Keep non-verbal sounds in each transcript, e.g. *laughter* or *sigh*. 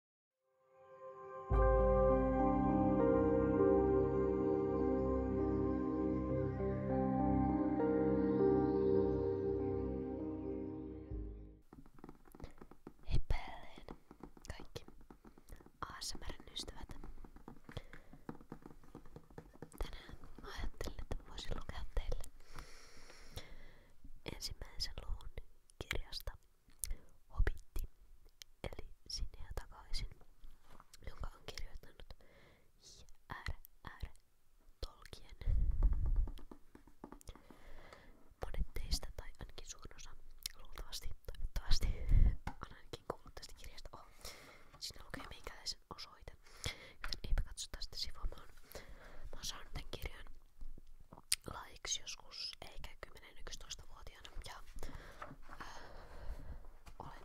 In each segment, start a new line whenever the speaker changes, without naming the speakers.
Hei päälleen kaikki ASMRn ystävät. Tänään mä ajattelin, että mä voisin lukea teille ensimmäisen luvun kirjasta Hobitti, eli Sinne ja takaisin, jonka on kirjoittanut J.R.R. Tolkien. Monet teistä, tai ainakin suurin osa, luultavasti, toivottavasti, on ainakin kuullut tästä kirjasta. Oh, siinä lukee meikäläisen osoite, joten eipä katso tästä sivua. Mä oon, mä oon saanut tämän kirjan laiksi joskus eikä 10-11-vuotiaana ja äh, olen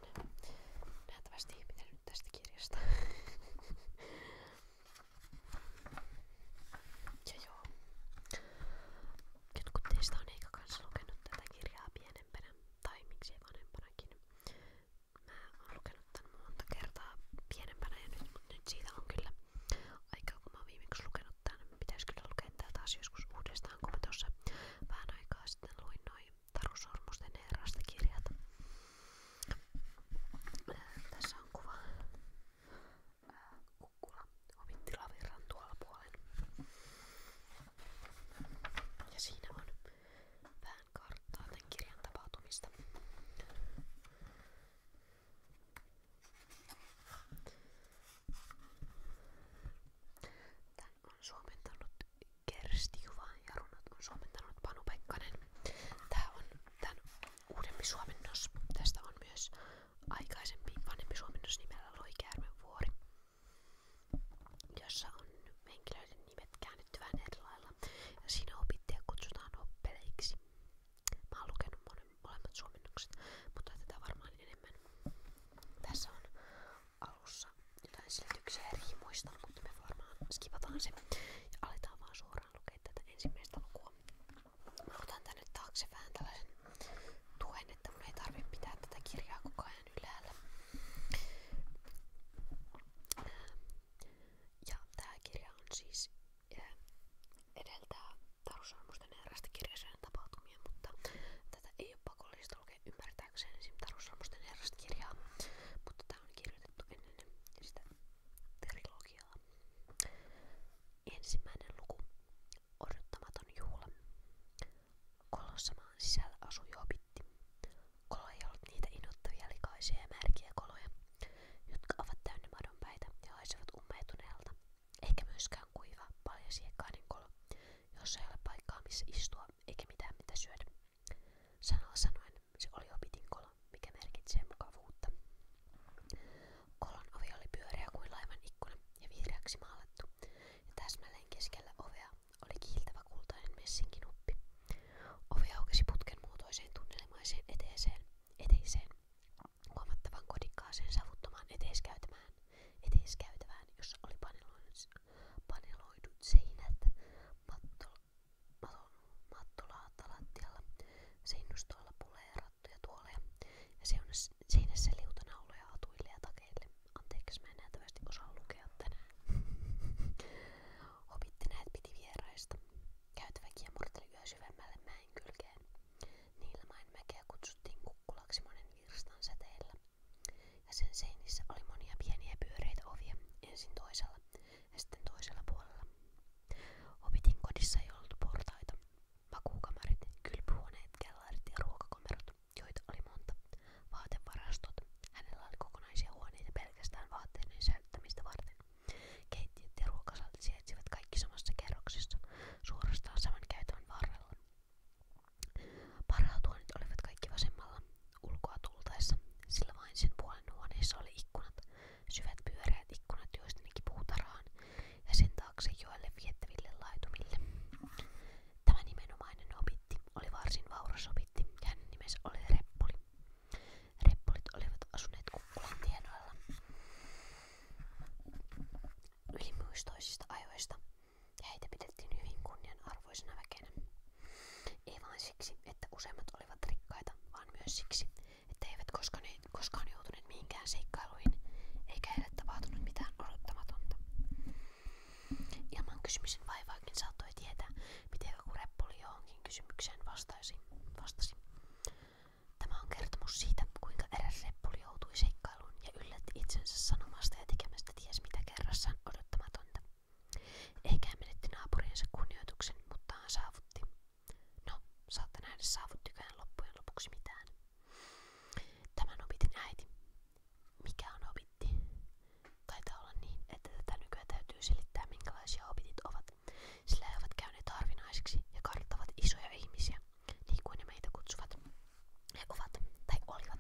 nähtävästi pitänyt tästä kirjasta. *laughs* ja joo, jotkut teistä on eikä kanssa lukenut tätä kirjaa pienempänä tai miksei vanhempanakin. Mä oon lukenut tän monta kertaa pienempänä ja nyt, mut nyt siitä on kyllä Aikaa kun mä oon viimeksi lukenut tän, niin pitäis kyllä lukea tää taas joskus uudestaan, kun mä tossa vähän aikaa sitten luin noin Taru Sormusten herrasta kirjat. Tässä on kuva ää, kukkula Ovittilavirran tuolla puolen. Ja siinä on vähän karttaa tän kirjan tapahtumista. Tän on suomentanut Kersti Juva ja runot on suomentanut Panu Pekkanen. Tää on tän uudempi suomennos. Tästä on myös aikaisempi vanhempi suomennos nimellä Loikäärmen vuori, jossa on henkilöiden nimet käännetty vähän eri lailla. Ja siinä opittajia kutsutaan oppeleiksi. Mä oon lukenut molemmat suomennokset, mutta tätä varmaan enemmän. Tässä on alussa jotain selityksiä ja riimuista, mutta me varmaan skipataan se ja aletaan vaan suoraan lukea tätä ensimmäistä lukua. Mä otan tänne tuen, että mun ei tarvitse pitää tätä kirjaa koko ajan Ja tää kirja on siis edeltää Tarussalmusten erästä kirjaseen tapahtumia, mutta tätä ei ole pakollista lukea ymmärtääkseen esim. Tarussalmusten erästä kirjaa, mutta tämä on kirjoitettu ennen sitä trilogiaa. Ensimmäinen luku. Odottamaton juhla. Kolossa maan sisällä asui hobitti. Kolo ei ollut niitä inottavia likaisia ja märkiä koloja, jotka ovat täynnä madonpäitä ja haisevat ummehtuneelta eikä myöskään kuiva, paljasiekkainen niin kolo, jossa ei ole paikkaa missä istua eikä mitään mitä syödä. Sanalla sanoen se oli opitin kolo, mikä merkitsee mukavuutta. Kolon ovi oli pyöreä kuin laivan ikkuna ja vihreäksi maalattu, ja täsmälleen keskellä ovea oli kiiltävä kultainen messinkinuppi. Ovi aukesi putken muotoiseen tunnelmaiseen eteeseen, eteiseen, huomattavan kodikkaaseen savuttomaan eteiskäytävään, eteiskäytävään jossa oli paneloidut seinät matto, mattolaata lattialla, seinustoilla puleerattuja tuoleja ja seinässä, seinässä liutanauloja hatuille ja takeille. Anteeksi, mä en näytävästi osaa lukea tänään. Hobitti *laughs* näet piti vieraista. Käytävä kiemurteli yö syvemmälle mäen kylkeen. Niilmäen mäkeä kutsuttiin kukkulaksi monen virstan säteellä. Ja sen seinissä oli monia pieniä pyöreitä ovia, ensin toisella ja sitten toisella puolella. Opitin kodissa ei ollut portaita. Makuukamarit, kylpyhuoneet, kellarit ja ruokakomerot, joita oli monta. Vaatevarastot. Hänellä oli kokonaisia huoneita pelkästään vaatteiden säilyttämistä varten. Keittiöt ja ruokasaltit sijaitsevat kaikki samassa kerroksessa, suorastaan saman käytävän varrella. Parhautuonet olivat kaikki vasemmalla ulkoa tultaessa, sillä vain sen puolen huoneessa oli ikkunat, syvät pyöreät ikkunat, joista ne kipuu tarhaan, ja sen taakse joelle viettäville laitumille. Tämä nimenomainen opitti oli varsin vauras opitti, ja hänen nimensä oli Reppuli. Reppulit olivat asuneet kukkulan tienoilla ylimuistoisista ajoista ja heitä pidettiin hyvin kunnianarvoisena väkenä. Ei vain siksi, että useimmat olivat rikkaita, vaan myös siksi, että eivät koskaan, koskaan joutuneet mihinkään seikkailuihin, eikä heille tapahtunut mitään odottamatonta. Ilman kysymisen vaivaakin saattoi tietää, miten joku reppuli johonkin kysymykseen vastasi. vastasi. Tämä on kertomus siitä, kuinka eräs reppuli joutui seikkailuun ja yllätti itsensä sanomasta ja tekemästä ties mitä kerrassaan odottamatonta. Eikä menetti naapuriensa kunnioituksen, mutta saavutti. No, saatte nähdä saavuttikään loppujen lopuksi mitään. Tämän opitin äiti. Mikä on opitti? Taitaa olla niin, että tätä nykyään täytyy selittää minkälaisia opitit ovat, sillä ovat käyneet harvinaisiksi ja karttavat isoja ihmisiä, niin kuin ne meitä kutsuvat. ovat, tai olivat,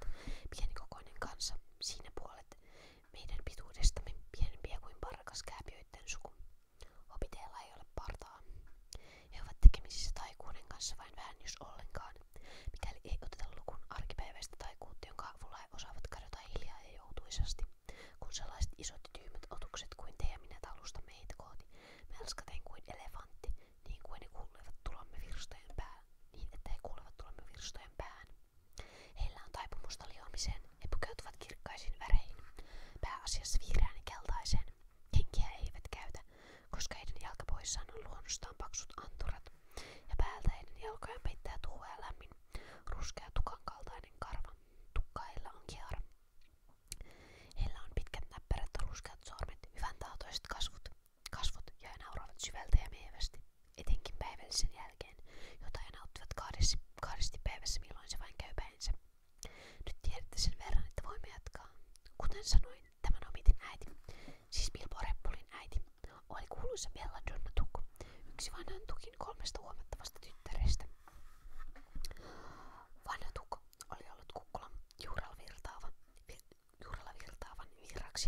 pienikokoinen kansa, siinä puolet meidän pituudestamme pienempiä kuin parkas kääpiöiden suku. Opiteella ei ole partaa. He ovat tekemisissä taikuuden vain vähän jos ollenkaan, mikäli ei oteta lukun arkipäiväistä taikuutta, jonka avulla he osaavat kadota hiljaa ja joutuisasti, kun sellaiset isot ja tyhmät otukset kuin te ja minä talusta meitä kohti, melskaten kuin elefantti, niin kuin he kuulevat tulomme virstojen päälle, niin että he kuulevat tulomme virstojen päähän. Heillä on taipumusta liomiseen, he pukeutuvat kirkkaisiin väreihin, pääasiassa vihreään ja keltaiseen. Henkiä he eivät käytä, koska heidän jalkapoissaan on luonnostaan paksut anturat, ja päältä heidän jalkojaan peittää tuulea lämmin, ruskea tukan kaltainen karva. Tukkailla on kiara, Heillä on pitkät näpperät ja ruskeat sormet, hyvän ja he nauravat syvältä ja mievästi, etenkin päivällisen jälkeen, jota he nauttivat kahdesti, kahdesti vain käy Nyt tiedätte verran, että voimme Kuten sanoin, tämän omitin äiti, siis Bilbo äiti, oli kuuluisa Bella yksi vanhan tukin kolmesta huomattavasta tyttärestä. Vanha tukko oli ollut kukkulan juurella virtaava, vi,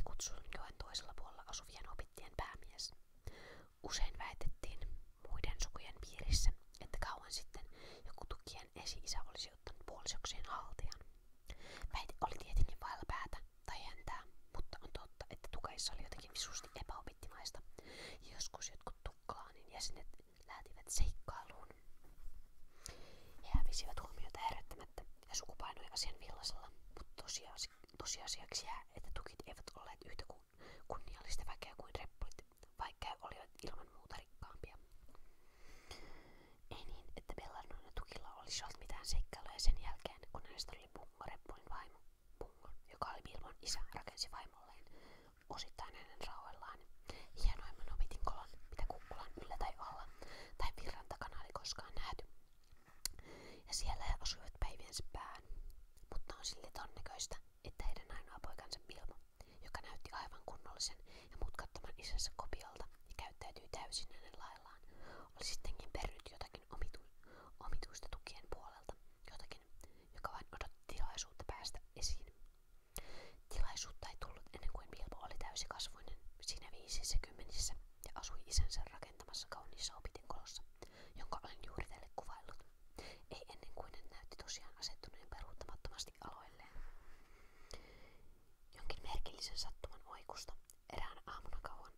kutsun joen toisella puolella asuvien opittien päämies. Usein väitettiin muiden sukujen piirissä, että kauan sitten joku esi-isä olisi ottanut puolisoksiin haltijan. Väite oli tietenkin vailla päätä tai mutta on totta, että tukeissa oli jotakin visusti epäopittimaista. Joskus jotkut tukkaanin jäsenet lähtivät seikkailuun. He hävisivät huomiota herättämättä ja suku painoi asian villasella, mutta tosiasi, tosiasiaksi jää, että tukit eivät olleet yhtä kun, kunniallista väkeä kuin reppulit, vaikka he olivat ilman muuta rikkaampia. Ei niin, että Belladon ja tukilla olisi ollut mitään seikkailuja sen jälkeen, kun hänestä oli Pungo reppulin vaimo. Pungo, joka oli Bilbon isä, rakensi vaimolleen osittain hänen rauhallaan. Hienoimman opitinkolon, mitä kukkulan yllä tai alla tai virran takana oli koskaan nähty. Ja siellä he osuivat päiviensä päähän. Mutta on silti todennäköistä, että heidän ainoa poikansa Pilmo, joka näytti aivan kunnollisen ja mutkattoman isänsä kopiolta ja käyttäytyi täysin hänen laillaan, oli sittenkin pernyt jotakin omitu- omituista tukien puolelta, jotakin, joka vain odotti tilaisuutta päästä esiin. Tilaisuutta ei tullut ennen kuin Bilbo oli täysikasvuinen, siinä viisissä ja asui isänsä rakentamassa kauniissa opitinkolossa, jonka olen juuri teille kuvaillut. Ei ennen kuin en näytti tosiaan asettuneen peruuttamattomasti aloilleen. Jonkin merkillisen sattuman oikusta erään aamuna kauan.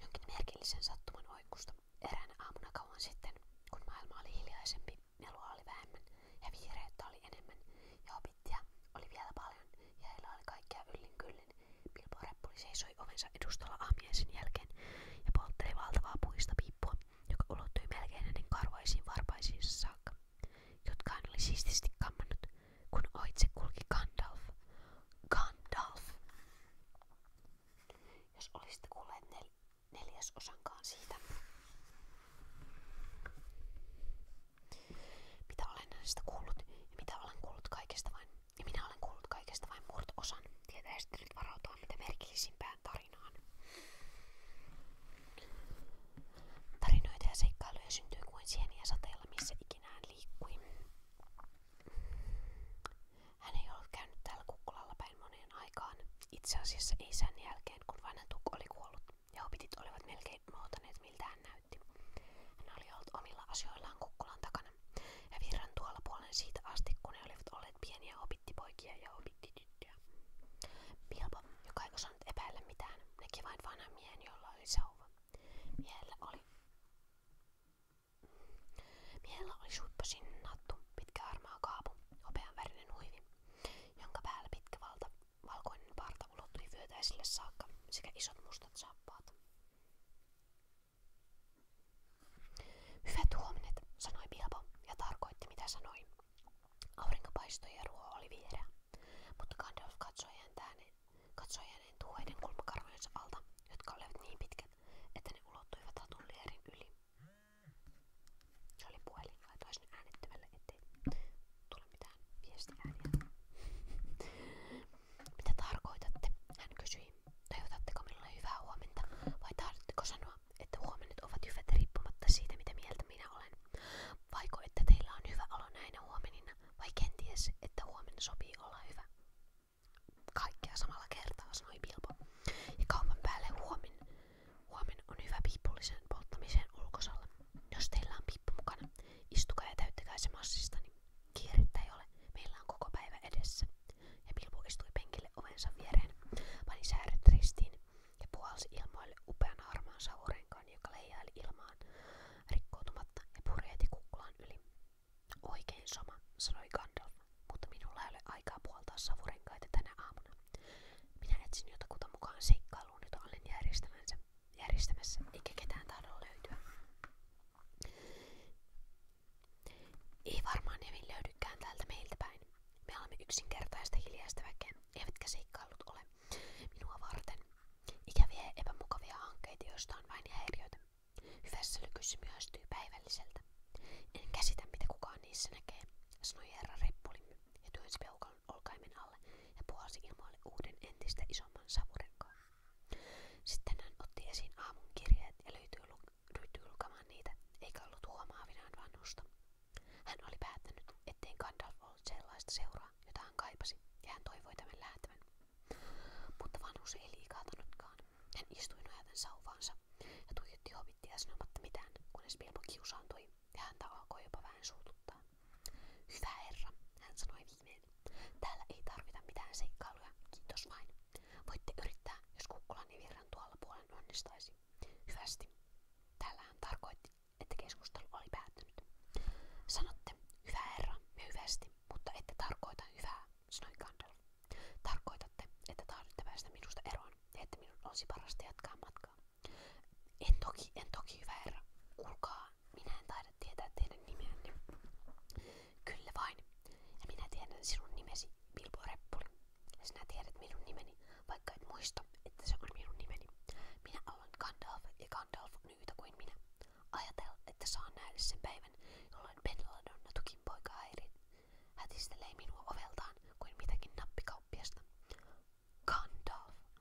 Jonkin merkillisen sattuman oikusta eräänä aamuna kauan sitten, kun maailma oli hiljaisempi melua oli vähemmän ja viireyttä oli enemmän ja opittia oli vielä paljon ja heillä oli kaikkea yllin kyllin. Bilbo Reppuli seisoi ovensa edustalla aamiaisen jälkeen ja poltteli valtavaa puista piippua, joka ulottui melkein hänen karvaisiin varpaisiinsa saakka, jotka hän oli siististi kammannut, kun oitse kulki Gandalf. Gandalf! Jos olisitte kuulleet nel- neljäsosankaan siitä, mitä olen näistä kuullut mitä olen kuullut kaikesta vain. minä olen kuullut kaikesta vain murto-osan. Tietäisesti nyt varautua mitä merkillisimpään tarinaan. Tarinoita ja seikkailuja syntyy kuin sieniä sateella, missä ikinään liikkui. Hän ei ollut käynyt täällä kukkulalla päin moneen aikaan, itse asiassa ei sen jälkeen kun vanhentuk oli kuollut ja opitit olivat melkein unohtaneet miltä hän näytti. Hän oli ollut omilla asioillaan kukkulan takana ja virran tuolla puolen siitä asti, kun ne olivat olleet pieniä opittipoikia ja opittityttöjä. Pilpo, joka ei osannut epäillä mitään, näki vain vanhan miehen, jolla oli sauva. Miehellä oli, miehellä oli suppasin sinnattu, pitkä harmaa kaapu, hopeanvärinen huivi jonka päällä pitkä valta, valkoinen parta ulottui vyötäisille saakka sekä isot mustat saappaat. Hyvät huomenet, sanoi Bilbo ja tarkoitti mitä sanoi. Aurinko paistoi ja ruoho oli viereä, mutta Gandalf katsoi häntään, katsoi hänen tuoiden kulmakarvojensa alta, jotka olivat niin pitkät, että ne ulottuivat hatun lierin yli. Se oli puhelin, laitoin sen äänettömälle, ettei tule mitään viestiääniä. *laughs* Mitä tarkoitatte? Hän kysyi. Toivotatteko minulle hyvää huomenta vai tahdotteko sanoa, että huomenet ovat hyvät riippumatta siitä, mitä mieltä minä olen? Vaiko, että teillä on hyvä olo näinä huomenina vai kenties, että huomenna sopii olla hyvä? Kaikkea samalla kertaa, sanoi Bilbo. Ja kaupan päälle huomin Huomen on hyvä piippullisen polttamiseen ulkosalla. Jos teillä mukana, istukaa ja täyttäkää se massistani. Niin Kiirettä ei ole, meillä on koko päivä edessä. Ja Pilpu istui penkille ovensa viereen, pani sääret ja puhalsi ilmoille upean harmaan savurenkaan, joka ja purjeeti kukkulaan yli. Oikein sama, sanoi Gandalf, mutta minulla ei ole aikaa puoltaa savurenkaita tänä aamuna. Minä etsin jotakuta mukaan seikkailuun, jota järjestämässä, järjestämässä eikä ketään tahdo löytyä. Ei varmaan Nevin löydykään täältä meiltä päin. Me olemme yksinkertaista hiljaista väkeä, eivätkä seikkailut ole minua varten. Ikäviä ja epämukavia hankkeita, joista on vain häiriöitä. Hyvässä lykyssä myöstyy päivälliseltä. En käsitä, mitä kukaan niissä sanoi herra Reppulin ja työnsi alle ja puhalsi ilmoille uuden entistä isomman savurenkaan. Sitten hän otti esiin aamun ja löytyi, lu- niitä, eikä ollut huomaavinaan vanhusta. Hän oli päättänyt, ettei Gandalf sellaista seuraa, jota kaipasi, ja hän toivoi tämän lähtevän. Mutta vanhus ei Hän istui nojaten sauvaansa ja tuijotti hobittia sanomatta mitään, kunnes Bilbo kiusaantui ja häntä alkoi jopa vähän Hyvä herra, hän sanoi viimein. Täällä ei tarvita mitään seikkailuja, kiitos vain. Voitte yrittää, jos kukkulani virran tuolla puolen onnistaisi. Hyvästi. Täällä hän tarkoitti, että keskustelu oli päättynyt. Sanotte, hyvä herra, hyvästi, mutta ette tarkoita hyvää, sanoi Gandalf. Tarkoitatte, että tahdotte päästä minusta eroon ja minun olisi parasta jatkaa matkaa. En toki, en toki hyvä herra. Kuulkaa, minä en taida tietää teidän nimeänne. Kyllä vain. Ja minä tiedän sinun nimesi, Bilbo Reppuli. Ja sinä tiedät minun nimeni, vaikka et muista, että se on minun nimeni. Minä olen Gandalf ja Gandalf on yhtä kuin minä. Ajatel, että saan nähdä sen päivän, jolloin Benladonna tukin poika häirin. Hätistelee minua oveltaan kuin mitäkin nappikauppiasta. Gandalf.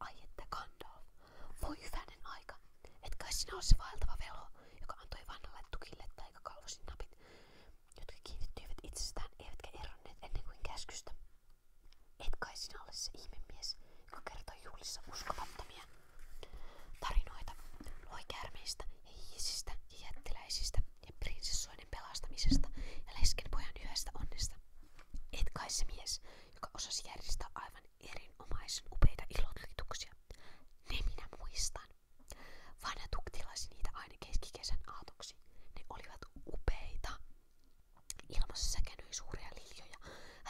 Ai että Gandalf. Voi hyvänen aika. Et kai sinä ole se vaeltava velo, joka antoi vanhalle tukille tai kalvosin napit, jotka kiinnittyivät itsestään eivätkä eronneet ennen kuin käskystä. Et kai sinä ole se ihmemies, joka kertoi juhlissa uskomattomia tarinoita, loi käärmeistä ja hiisistä ja jättiläisistä ja prinsessoiden pelastamisesta ja lesken pojan yhdestä onnesta. Et kai se mies, joka osasi järjestää aivan erinomaisen upeita ilotlituksia. Ne minä muistan. Vanha tuktilasi niitä aina keskikesän aatoksi. Ne olivat upeita. Ilmassa säkänyi suuria liljoja,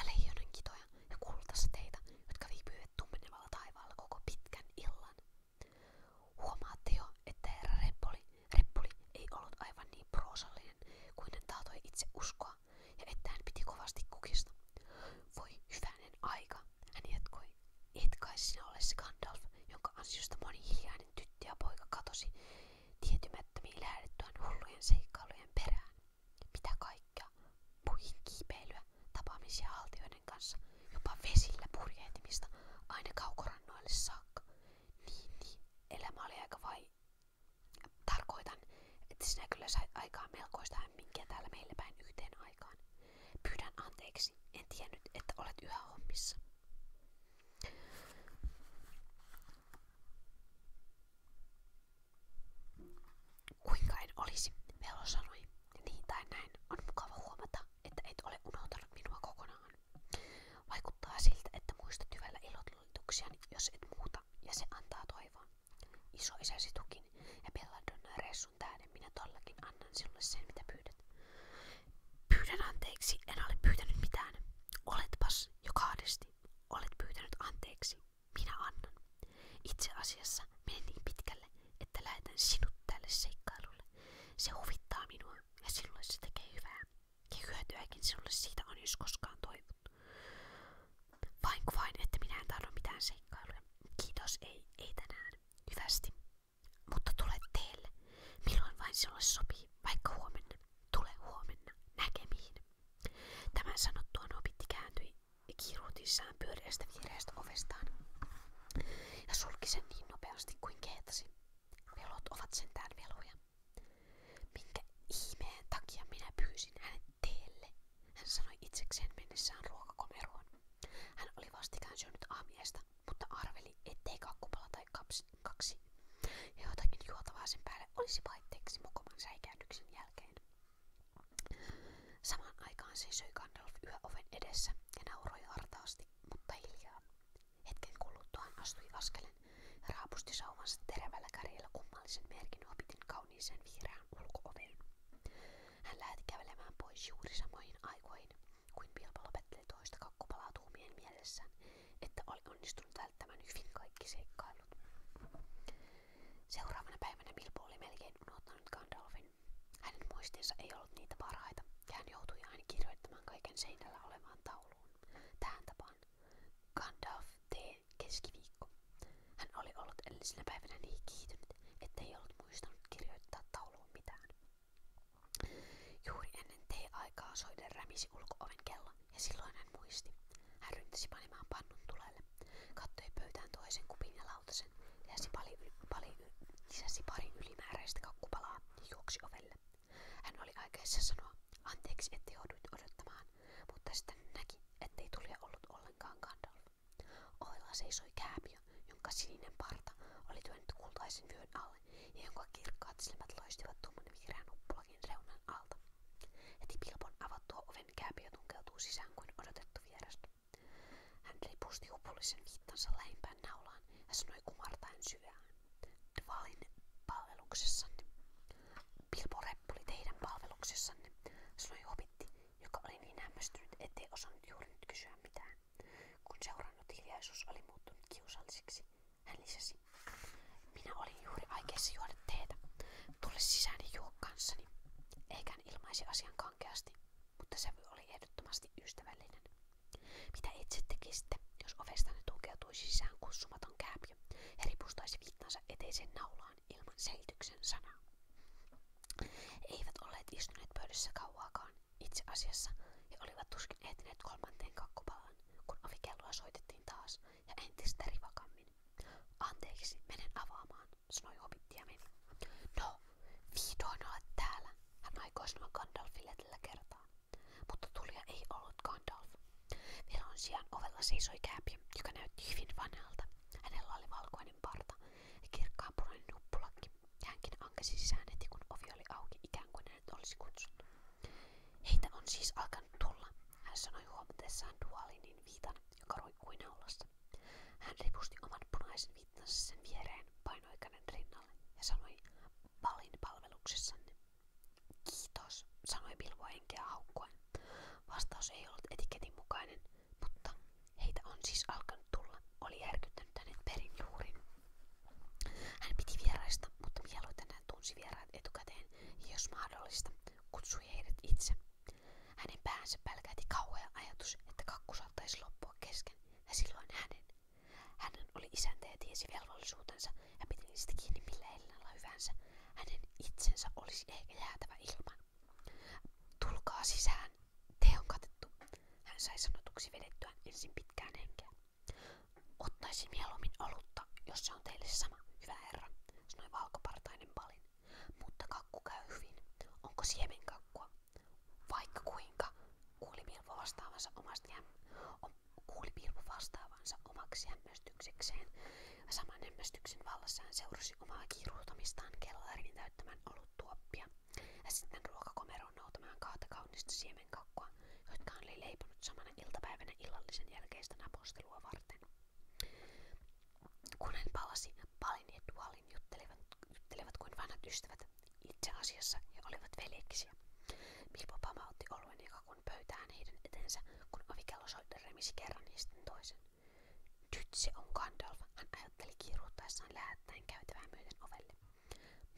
leijonan kitoja ja kultasateita, jotka viipyivät tummenevalla taivaalla koko pitkän illan. Huomaatte jo, että herra Reppoli, Reppoli ei ollut aivan niin proosallinen kuin hän tahtoi itse uskoa ja että hän piti kovasti kukista. Voi hyvänen aika, hän jatkoi. Et kai sinä ole se Gandalf, jonka ansiosta moni hiljainen tyttö ja poika katosi tietymättömiin lähdettyään hullujen seikkailujen perään. Mitä kaikkea? Puihin kiipeilyä, tapaamisia haltioiden kanssa, jopa vesillä purjehtimista, aina kaukorannoille saakka. Niin, niin. Tarkoitan, että sinä kyllä sait aikaa melkoista hämminkiä täällä päin yhteen aikaan. Pyydän anteeksi. En että olet yhä hommissa. Kuinka en olisi, Velo sanoi. Niin tai näin, on mukava huomata, että et ole unohtanut minua kokonaan. Vaikuttaa siltä, että muistat hyvällä ilotulituksiani, jos et muuta, ja se antaa toivoa. Isoisäsi tukin ja Belladonna reissun tähden minä tollakin annan sinulle sen, mitä pyydät. Pyydän anteeksi, en ole pyytänyt mitään. Oletpas jo kahdesti. Olet pyytänyt anteeksi. Minä annan. Itse asiassa menen niin pitkälle, että lähetän sinut tälle seikkailulle. Se huvittaa minua ja sinulle se tekee hyvää. Ja hyötyäkin sinulle siitä on, jos koskaan toivottu. Vain vain, että minä en tahdo mitään seikkailuja. Kiitos, ei, ei tänään. Hyvästi. Mutta tule teille. Milloin vain sinulle sopii, vaikka huomenna. Tule huomenna. Näkemiin. Tämän sanottua Nobitti kääntyi kiiruutissaan pyöreästä viereästä ovestaan ja sulki sen niin nopeasti kuin kehtasi. Velot ovat sentään veloja. Minkä ihmeen takia minä pyysin hänet teelle, hän sanoi itsekseen mennessään ruokakomeroon. Hän oli vastikään syönyt aamiaista, mutta arveli, ettei kakkupala tai kaps, kaksi. Ja jotakin juotavaa sen päälle olisi vaitteeksi mukoman säikäynnyksen jälkeen. Samaan aikaan se söi Gandalf yöoven edessä ja nauroi hartaasti, mutta hiljaa. Hetken kuluttuaan astui askelen ja raapusti sauvansa terävällä kummallisen merkin opitin kauniiseen vihreään ulkooveen. Hän lähti kävelemään pois juuri samoihin aikoihin, kuin Bilbo lopetteli toista kakkopalaa että oli onnistunut hyvin kaikki seikkailut. Seuraavana päivänä Bilbo oli melkein unohtanut Gandalfin. Hänen muistinsa ei ollut niitä parhaita, ja hän kirjoittamaan kaiken seinällä olevaan tauluun kouluun. Tähän tapaan. Gandalf T. keskiviikko. Hän oli ollut edellisenä päivänä niin kiihtynyt, ettei ollut muistanut kirjoittaa tauluun mitään. Juuri ennen tee-aikaa soiden rämisi ulkooven kello, ja silloin hän muisti. Hän ryntäsi panemaan pannun tulelle, kattoi pöytään toisen kupin ja lautasen, lisäsi, pali, pali, lisäsi pari ylimääräistä kakkupalaa ja juoksi ovelle. Hän oli aikeissa sanoa, anteeksi että jouduit odottamaan, mutta sitten näki, ettei tulija ollut ollenkaan Gandalf. Ohella seisoi kääpiö, jonka sininen parta oli työnyt kultaisen vyön alle ja jonka kirkkaat silmät loistivat tumman vihreän uppulakin reunan alta. Heti Pilpon avattua oven kääpiö tunkeutuu sisään kuin odotettu vieras. Hän ripusti upullisen viittansa lähimpään naulaan ja sanoi kumartaen syvään. Dvalin palveluksessanne. Bilbo Repp oli teidän palveluksessanne, sanoi hobitti, joka oli niin hämmästynyt, ettei osannut juuri nyt kysyä mitään. Kun seurannut hiljaisuus oli muuttunut kiusalliseksi, hän lisäsi. Minä olin juuri aikeissa juoda teetä. Tule sisään ja juo Eikä hän ilmaisi asian kankeasti, mutta se oli ehdottomasti ystävällinen. Mitä itse tekisitte, jos ovestanne tukeutui sisään kutsumaton kääpiö ja ripustaisi vittansa eteisen naulaan ilman selityksen sanaa? Eivät olleet istuneet pöydässä kauaakaan itse asiassa ja olivat tuskin ehtineet kolmanteen kakkopalaan, kun ovikelloa soitettiin taas ja entistä rivakammin. Anteeksi, menen avaamaan, sanoi hobitti ja meni. No, vihdoin olet täällä, hän aikoi sanoa Gandalfille tällä kertaa mutta tulija ei ollut Gandalf. Viron sijaan ovella seisoi kääpi, joka näytti hyvin vanhalta. Hänellä oli valkoinen parta ja kirkkaanpunainen nuppulakki. Hänkin ankasi sisään heti, kun ovi ikään kuin hänet olisi kutsunut. Heitä on siis alkanut tulla, hän sanoi huomatessaan dualinin viitan, joka roikkui naulassa. Hän ripusti oman punaisen viittansa sen viereen, painoi käden ja sanoi, valin palveluksessanne. Kiitos, sanoi Bilbo henkeä haukkuen. Vastaus ei ollut etiketin mukainen, mutta heitä on siis alkanut tulla, oli järkyttänyt hänet perin juurin. Hän piti vieraista, mutta mieluiten hän tunsi vieraat etukäteen ja jos mahdollista, kutsui heidät itse. Hänen päänsä pälkähti kauhea ajatus, että kakku saattaisi loppua kesken ja silloin hänen hänen oli isäntä ja tiesi velvollisuutensa ja piti niistä kiinni millä elänällä hyvänsä. Hänen itsensä olisi ehkä jäätävä ilman. Tulkaa sisään, te on katettu. Hän sai sanotuksi vedettyään ensin pitkään henkeä. Ottaisi mieluummin olutta, jos se on teille sama, hyvä herra, sanoi valkopartainen palin. Mutta kakku käy hyvin. Onko siemenkakkua? Vaikka kuinka, kuuli Milvo vastaavansa omasta jäm- kuuli Pirpo vastaavansa omaksi hämmästyksekseen. Saman hämmästyksen vallassa hän seurasi omaa kiiruhtamistaan kellarin täyttämään oluttuoppia ja sitten ruokakomeroon noutamaan kahta kaunista siemenkakkua, jotka hän oli leiponut samana iltapäivänä illallisen jälkeistä napostelua varten. Kun hän palasi, Palin ja Dualin juttelevat, juttelevat kuin vanhat ystävät, itse asiassa he olivat veljeksiä. Milpo pamautti oluen jakakun pöytään heidän etensä, kun ovikello soitti remisi kerran ja sitten toisen. Nyt se on Gandalf, hän ajatteli kiiruuttaessaan lähettäen käytävää myöten ovelle.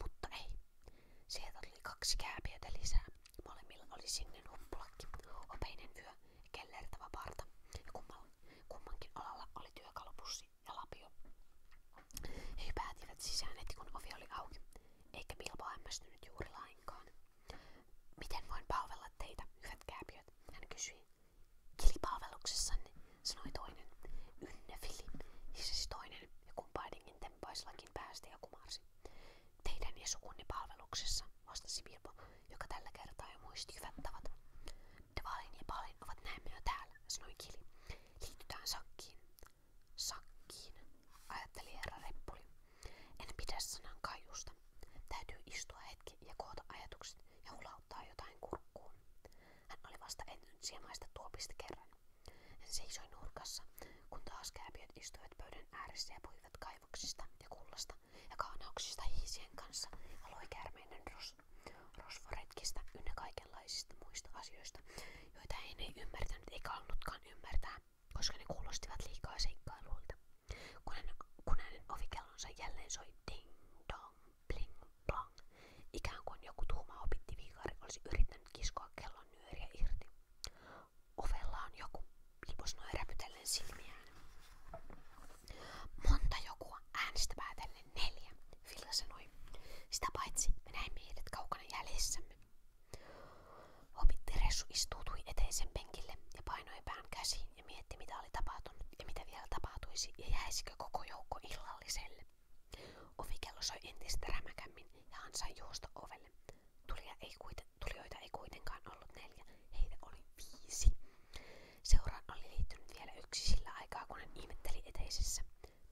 Mutta ei. Sieltä tuli kaksi kääpiötä lisää. Molemmilla oli singen huppulakki, opeinen vyö ja kellertävä parta. Ja kummankin alalla oli työkalupussi ja lapio. He päätivät sisään heti kun ovi oli auki eikä Bilbo hämmästynyt juuri lainkaan. Miten voin palvella teitä, hyvät kääpiöt? Hän kysyi. Kilipalveluksessanne, sanoi toinen. Ynnefili, siis toinen, ja kumpainenkin tempaisillakin päästä ja kumarsi. Teidän ja sukunne palveluksessa, vastasi Bilbo, joka tällä kertaa jo muisti hyvät tavat. Devalin ja Palin ovat näemme jo täällä, sanoi Kili. Liitytään sakkiin. Sakkiin, ajatteli herra Reppuli. En pidä sanan Täytyy istua hetki ja koota ajatukset ja hulauttaa jotain kurkkuun. Hän oli vasta entynyt siemaista tuopista kerran. Hän seisoi nurkassa, kun taas kääpiöt istuivat pöydän ääressä ja puhuivat kaivoksista ja kullasta ja kaanauksista hiisien kanssa ja kärmeinen ros, rosvoretkistä ynnä muista asioista, joita hän ei ymmärtänyt eikä ollut voinutkaan ymmärtää, koska ne kuulostivat liikaa seikkailuilta. Kun, hän, kun hänen ovikellonsa jälleen soi ding dong bling blang, ikään kuin joku tuhma opitti olisi yrittänyt kiskoa kellon nyöriä irti. Ovella on joku, liposnoi räpytellen silmiään. Monta jokua äänestä päätellen neljä, Filla sanoi. Sitä paitsi me näimme heidät kaukana jäljessämme. Hopittiressu istuutui eteisen penkille ja painoi pään käsiin ja mietti mitä oli tapahtunut ja mitä vielä tapahtuisi ja jäisikö koko joukko illalliselle. Ovikello soi entistä rämäkämmin ja Hansa juosta ovelle. Tulia ei kuiten, tulijoita ei kuitenkaan ollut neljä, heitä oli viisi. Seuraan oli liittynyt vielä yksi sillä aikaa, kun hän ihmetteli eteisessä.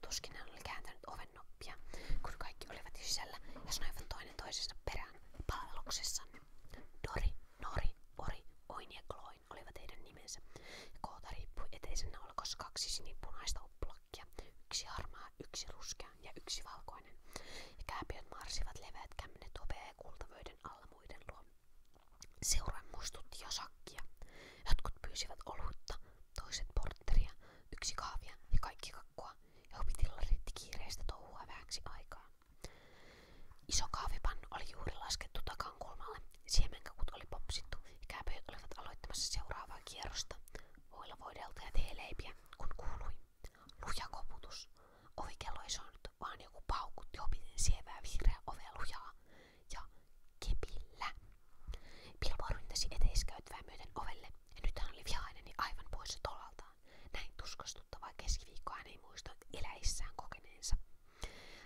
Tuskin hän oli kääntänyt oven noppia, kun kaikki olivat sisällä ja sanoivat toinen toisesta perään palveluksessa. Dori, Nori, Ori, Oini ja Kloin olivat heidän nimensä, ja koota riippui eteisen naulakossa kaksi sinipunaista uppulakkia, yksi harmaa, yksi ruskea ja yksi valkoinen, ja kääpiöt marsivat leveät kämmenet opea ja kultavöiden alla muiden luo. Seuran muistutti jo sakkia. Jotkut pyysivät olutta, toiset portteria, yksi kaavia ja kaikki kakkua, ja opitilla kiireistä touhua aikaa. Iso kahvipannu oli juuri laskettu takankulmalle, siemenkakut oli popsittu ja kääpöjät olivat seuraavaa kierrosta. Voilla voidelta ja teeleipiä, kun kuului. Luja koputus. Ovikello vaan joku paukut jopiten sievää vihreää ovea lujaa. Ja kepillä. Pilpo ryntäsi eteiskäytävää myöten ovelle nyt hän oli vihainen niin ja poissa tolaltaan. Näin tuskastuttavaa keskiviikkoa hän ei muista eläissään kokeneensa.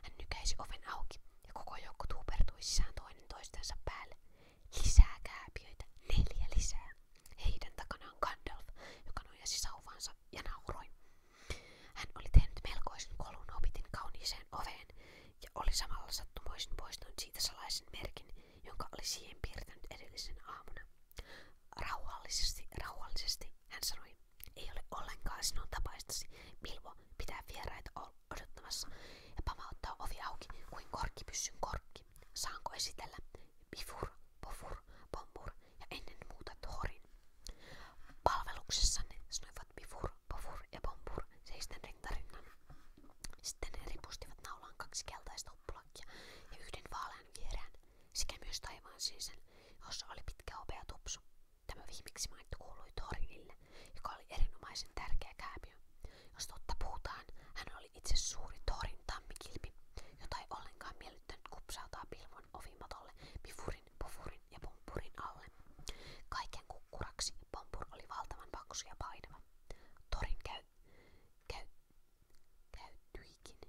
Hän nykäisi oven auki ja koko joukko tuupertui sisään toinen Lisää kääpiöitä, neljä lisää. Heidän takanaan Gandalf, joka nojasi sauvansa ja nauroi. Hän oli tehnyt melkoisen kolun opitin kauniiseen ja oli samalla sattumoisin poistanut siitä salaisen merkin, jonka oli siihen piirtänyt edellisen aamuna. Rauhallisesti, rauhallisesti, hän sanoi. Ei ole ollenkaan sinun tapaistasi. Milvo pitää vieraita odottamassa ja pamauttaa ovi auki kuin korkkipyssyn korkki. Saanko esitellä bifur, pofur, pompur ja ennen muuta torin? Palveluksessanne sanoivat bifur, pofur ja pompur seisten rintarinnan. Sitten ne ripustivat naulaan kaksi keltaista huppulakkia ja yhden vaalean viereen sekä myös taivaan siisen, jossa oli pitkä opea tupsu. Tämä viimeksi mainittu kuului Torinille, joka oli erinomaisen tärkeä kääpiö. Jos totta puhutaan, hän oli itse suuri Torin tammikilpi, jota ei ollenkaan miellyttänyt kupsautaa pilvon ovimatolle pifurin, pufurin ja pompurin alle. Kaiken kukkuraksi pompur oli valtavan paksu ja painava. Torin käy käy, käy, käyttyikin.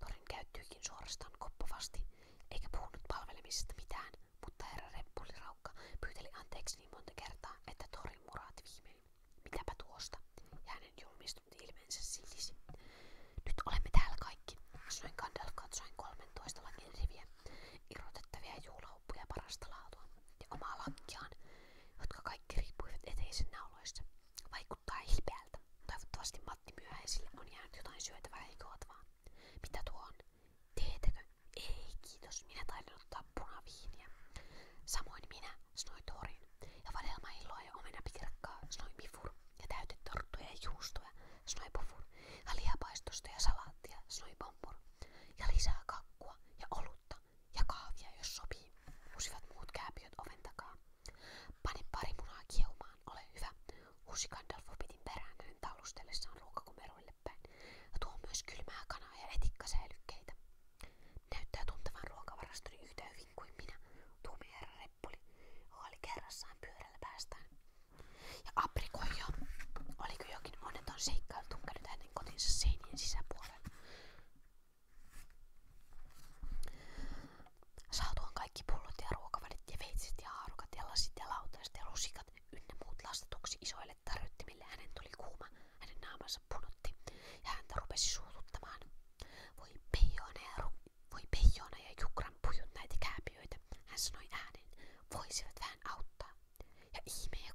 Torin käyttyikin suorastaan koppavasti, eikä puhunut palvelemisesta mitään, mutta herra Reppuliraukka pyyteli anteeksi niin monta kertaa, että Torin muraat viimein. Mitäpä tuosta? Ja hänen julmistunut ilmeensä Nyt olemme täällä kaikki, sanoin Gandalf katsoen 13 lakin riviä, irrotettavia louppuja parasta laatua ja omaa lankiaan, jotka kaikki riippuivat eteisen nauloista. Vaikuttaa hilpeältä. Toivottavasti Matti myöhäisille on jäänyt jotain syötävää eikä ootavaa. Mitä tuo on? Teetäkö? Ei, kiitos. Minä taidan ottaa punaviiniä. Samoin minä, sanoi Torin. Ja vadelmailloa ja omenapikirkkaa, sanoi Mifur. Ja täytetorttuja ja juustoja, sanoi Pufur. Ja lihapaistosta ja sanoi Bombur. Ja lisää kakkua ja olutta, ja kahvia, jos sopii, husivat muut kääpiöt oven takaa. Pane pari munaa kiehumaan, ole hyvä, husi Gandalf pitin perään hänen taulustellessaan ruokakumeroille päin, ja tuo myös kylmää kanaa ja etikkasäilykkeitä. Näyttää tuntevan ruokavarastoni yhtä hyvin kuin minä, tuumi herra Reppuli, joka oli kerrassaan pyörällä päästään. Ja aprikoija, oliko jokin onneton seikkailu tunkenut hänen kotinsa seinien sisäpuolelle? Saatuan kaikki pullot ja ruokavälit ja veitsit ja haarukat ja lasit ja lautaset hänen tuli kuuma, hänen naamansa punotti ja häntä rupesi suututtamaan. Voi peijona ja, voi peijona ja jukran näitä kääpiöitä, hän sanoi ääneen, voisivat vähän auttaa, ja ihmeen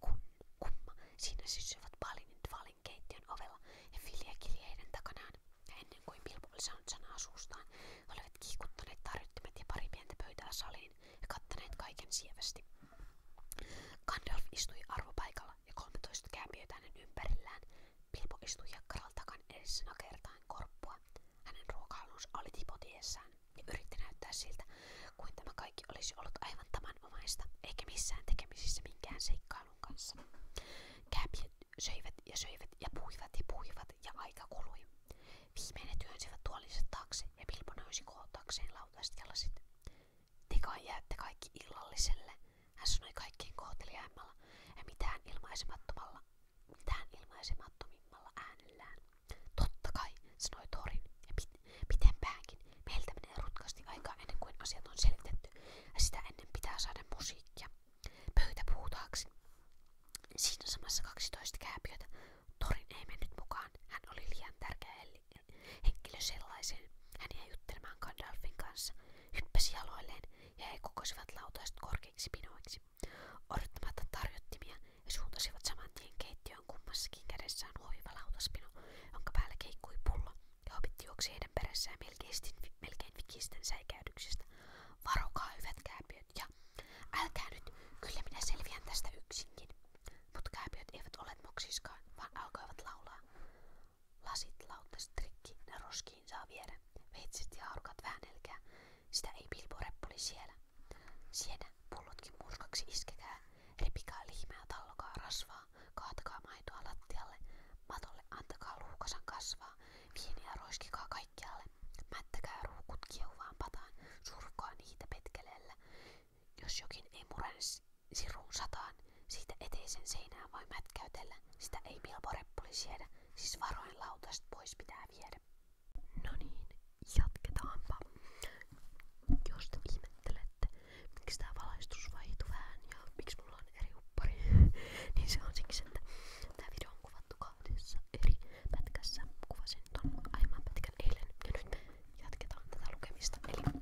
kumma, siinä sysyivät Balinin Dvalin keittiön ovella ja Filia kilje takanaan. ennen kuin Bilbo saanut sanaa suustaan, olivat kiikuttaneet tarjottimet ja pari pientä pöytää saliin kaiken sievästi. Gandalf istui arvopaikalla ja 13 kääpiöitä hänen ympärillään. Bilbo istui jakkaran takan edessä nakertaan korppua. Hänen ruokailunsa oli tipotiessään ja yritti näyttää siltä, kuin tämä kaikki olisi ollut aivan tavanomaista, eikä missään tekemisissä minkään seikkailun kanssa. Käpit söivät ja söivät ja puhuivat ja puhuivat ja aika kului. Viimeinen työnsivät tuolinsa taakse ja Pilpo nousi kootakseen lautaiset jalasit. Te kai jäätte kaikki illalliselle, hän sanoi kaikkein kohteliaimmalla ja mitään ilmaisemattomalla, mitään ilmaisemattomimmalla äänellään. Totta kai, sanoi Torin ja Mitenpäänkin, meiltä menee rutkasti aikaa ennen kuin asiat on selitetty, ennen pitää musiikkia. Pöytä Siinä samassa 12 kääpiötä. Torin ei mennyt mukaan. Hän oli liian tärkeä henkilö sellaiseen. Hän jäi juttelemaan Gandalfin kanssa, hyppäsi ja he kokosivat lautaiset korkeiksi pinoiksi. Odottamatta tarjottimia he suuntasivat saman tien keittiön Heillä on kummassakin kädessään hoiva lautaspino, jonka päällä keikkui pullo, ja hobitti juoksi heidän perässään melkein, melkein vikisten säikäydyksistä. Varokaa hyvät kääpiöt ja älkää kyllä minä selviän yksinkin. Mut kääpiöt eivät ole vaan alkoivat laulaa. Lasit, lautas, ne roskiin saa viedä. Veitset ja haarukat väänelkää, sitä ei pilpo reppuli Sienä, pullotkin murskaksi iskekää. Repikaa liimeä, tallokaa rasvaa, kaatakaa maitoa lattialle, matolle antakaa luukasan kasvaa, viiniä roiskikaa kaikkialle, mättäkää ruukut kiehuvaan pataan, surkkaa niitä petkeleellä. Jos jokin ei murene siruun sataan, siitä eteisen seinään voi mätkäytellä, sitä ei milporeppuli siedä, siis varoin lautast pois pitää viedä. No niin, jatketaanpa. Jos te ihmettelette, miksi tää valaistus vaihtui miksi mulla on eri uppari, *laughs* niin on siksi, että tää video on kuvattu eri pätkässä. Kuvasin ton aiemman pätkän eilen ja nyt me jatketaan Eli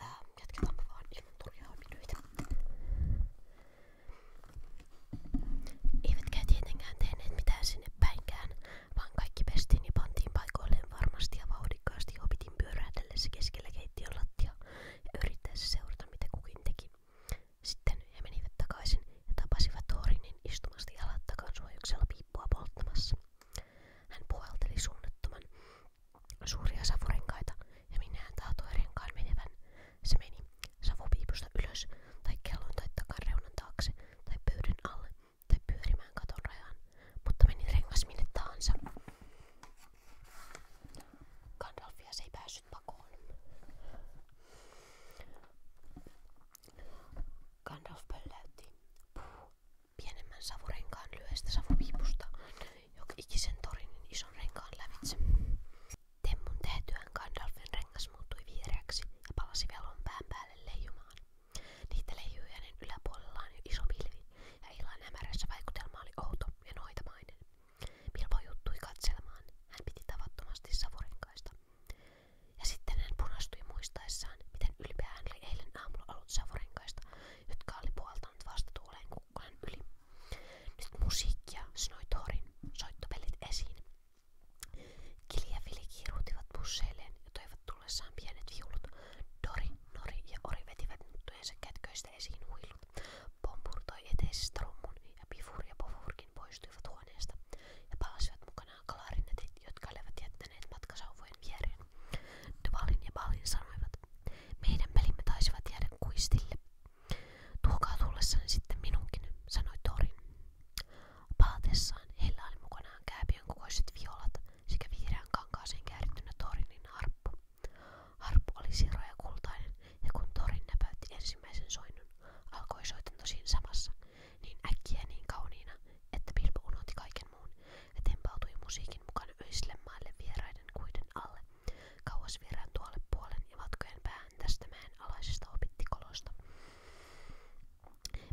ää, jatketaan me mitään sinne päinkään, vaan kaikki pestiin ja pantiin paikoilleen varmasti ja vauhdikkaasti ja kuitenkin pyörähdellessä keskellä keittiön lattia ja yrittäessä seurata, mitä kukin teki. Sitten he menivät takaisin ja tapasivat Thorinin istumasta jalat takansuojuksella piippua polttamassa. Hän puhalteli suunnattoman suuria savurenkaita ja minne hän tahtoi renkaan menevän. Se meni savupiipusta ylös tai kellon tai takareunan taakse tai pöydän alle tai pyörimään katon rajaan mutta meni rengas minne tahansa. Gandalfia se ei päässyt pakoon. Gandalf pölläytti Puh, pienemmän savurenkaan lyöstä savupiipusta, joka ikisen torinin ison renkaan lävitse. Temmun tehtyään Gandalfin rengas muuttui vihreäksi ja palasi velon pään päälle leijumaan. Niitä leijui hänen niin yläpuolellaan iso pilvi, ja illan hämärässä vaikutelma oli outo ja noitamainen. Pilvo juttui katselemaan, hän piti tavattomasti savurenkaista. Ja sitten hän punastui muistaessaan, miten ylpeä hän oli eilen aamulla ollut savurenkaista, jotka oli puoltanut vastatuuleen yli. Nyt musiikkia, sanoi Thorin, soittopelit esiin. Kili ja busseilleen ja toivat tullessaan pienet viulut. Dori Nori ja Ori vetivät nuttujensa kätköistä esiin huilut. Pom purtoi ja Pifur ja Pofurkin poistuivat ja palasivat mukanaan kalarinetit, jotka olivat jättäneet matkasauvojen viereen. Dvalin ja Balin sanoivat, meidän pelimme taisivat jäädä kuistille. Tuokaa tullessani sitten minunkin, sanoi Torin. Palatessaan heillä oli mukanaan kääpiön kokoiset violat, sekä vihreän kankaaseen käärittynä torinin harppu. Harppu oli siro kultainen, ja kun torin näpäytti ensimmäisen soinnun, alkoi soitanto siinä samassa, niin äkkiä niin kauniina, että Bilbo unohti kaiken muun ja musiikin mukana öisille vieraiden kuiden alle, kauas vieraan ja matkojen päähän tästä mäen alaisesta opittikolosta.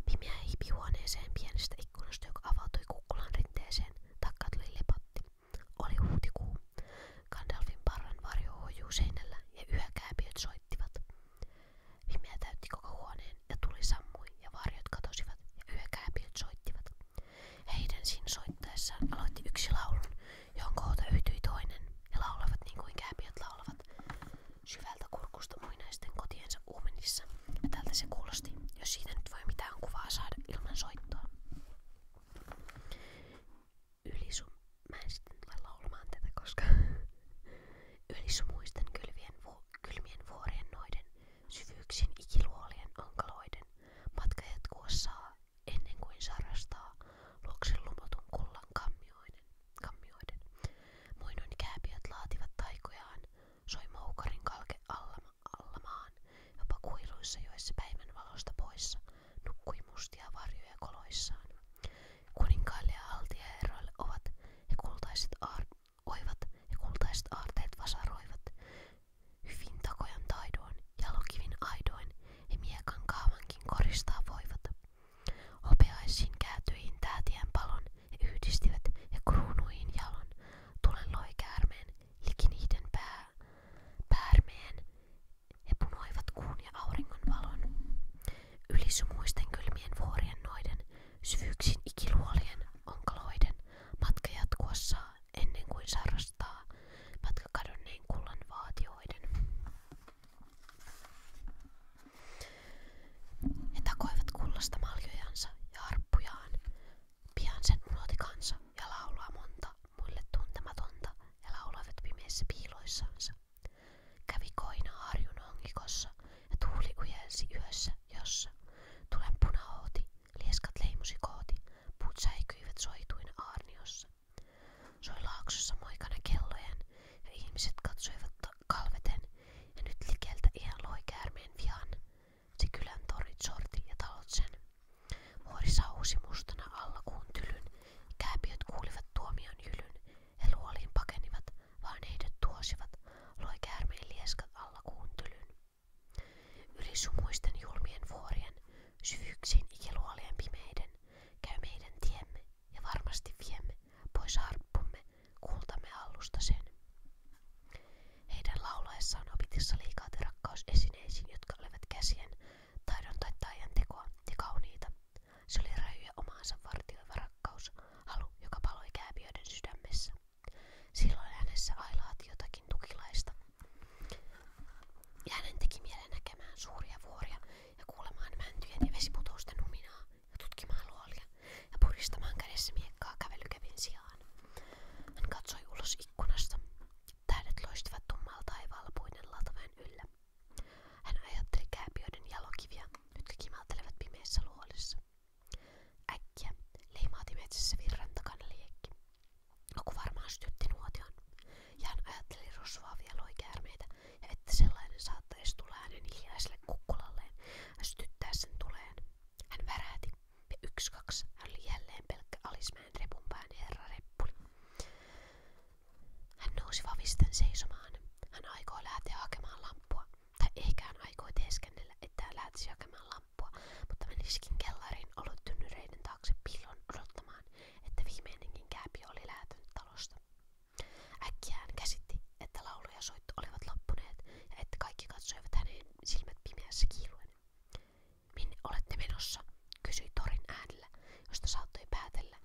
Pimiä hiipi huoneeseen pienestä ikkunasta, joka avautui kukkulan rinteeseen, takka tuli Oli huhtikuu. Gandalfin parran varjo hoijuu ja yökääpiöt soittivat. Pimeä täytti koko huoneen ja tuli sammui ja varjot katosivat ja yökääpiöt soittivat. Heidän sin soittaessaan aloitti yksi laulun, johon kohta yhtyi toinen ja laulavat niin kuin laulavat. Syvältä kurkusta muinaisten kotiensa Uumenissa. Ja tältä se kuulosti, jos siitä nyt voi mitään kuvaa saada ilman soittoa. Ylisu... Mä en sitten tule laulamaan tätä, koska... *laughs* Ylisumuisten kylmien, vu... kylmien vuorien noiden, syvyyksin ikiluolien onkaloiden, matka jatkuu saa, ennen kuin sarastaa, luoksen lumotun kullan kammioiden. kammioiden. Muinoin kääpiöt laativat taikojaan, soi moukarin kalke alla alla maan, jopa kuiluissa joissa päivän poissa, nukkui mustia Kuninkaille ja ovat he kultaiset aar- oivat ja kultaiset aarteet vasaroivat. Hyvin takojan taidoin, jalokivin aidoin he miekan koristaa voivat. Hopeaisiin käätyihin täätien palon yhdistivät ja kruunuihin jalon. Tulen loi Hikiniiden pää, päärmeen he punoivat kuun ja auringon valon. Ylisumuisten kylmien vuorien noiden, syvyyksin ikiluolien, onkaloiden, matka jatkuossa ennen kuin sarrastaa matka kadonneen kullan vaatioiden. He takoivat kullasta maljojansa ja harppujaan, Pian sen unohti kansa ja laulaa monta muille tuntematonta ja lauloivat pimeissä piiloissansa. Kävi koina harjun ongikossa ja tuuli ujelsi yössä, jossa tulen punahooti, lieskat leimusi kooti, puut säikyivät soituina aarniossa. Soi laaksossa moikana kellojen ja ihmiset katsoivat kalveten ja nyt likeltä ihan loi käärmeen vihan se kylän torit ja talot sen. Muori sauhusi mustana alla kuun tylyn. Kääpiöt kuulivat tuomion hylyn. He luoliin pakenivat, vaan heidät tuosivat. Loi käärmeen lieskat alla kuun tylyn. Yli sumuisten julmien vuorien, syvyyksiin ikiluolien pimeiden, käy meidän tiemme ja varmasti viemme pois harppumme, kultamme allusta sen. Heidän opitissa liikaa rakkaus esineisiin, jotka olivat käsien, taidon tai taian tekoa ja kauniita. Se oli rajuja omaansa vartioiva rakkaus, halu, joka paloi kääpiöiden sydämessä. Silloin hänessä ailaati jotakin tukilaista. Ja hänen teki mielen näkemään suuria vuoria ja kuulemaan mäntyjen ja vesiputousten huminaa ja tutkimaan luolia ja puristamaan kädessä miekkaa kävelykevin sijaan. Hän katsoi ulos ikkunassa. Tähdet loistivat tummalta taivaalla puiden latvojen yllä. Hän ajatteli kääpiöiden jalokiviä, jotka kimaltelevat pimeissä luolissa. Äkkiä leimaati metsässä virran takana liekki. Joku varmaan sytytti nuotion. Ja ajatteli rosvaavia loikäärmeitä että sellainen saattaisi tulla hänen hiljaiselle kukkulalleen ja sytyttää sen tuleen. Hän värähti ja yksi kaksi, hän oli jälleen pelkkä Alismäen repun pään herra reppuli. Hän nousi vavisten seisomaan. Hän aikoi lähteä hakemaan lamppua. Tai ehkä hän aikoi teeskennellä, että hän lähtisi hakemaan lamppua, mutta menisikin kellariin ollut tynnyreiden taakse pillon odottamaan, että viimeinenkin kääpi oli lähtenyt talosta. Äkkiä hän käsitti, että laulu ja soitto olivat loppuneet ja että kaikki katsoivat hänen silmät pimeässä kiiluen. Minne olette menossa? kysyi Torin äänellä, josta saattoi päätellä,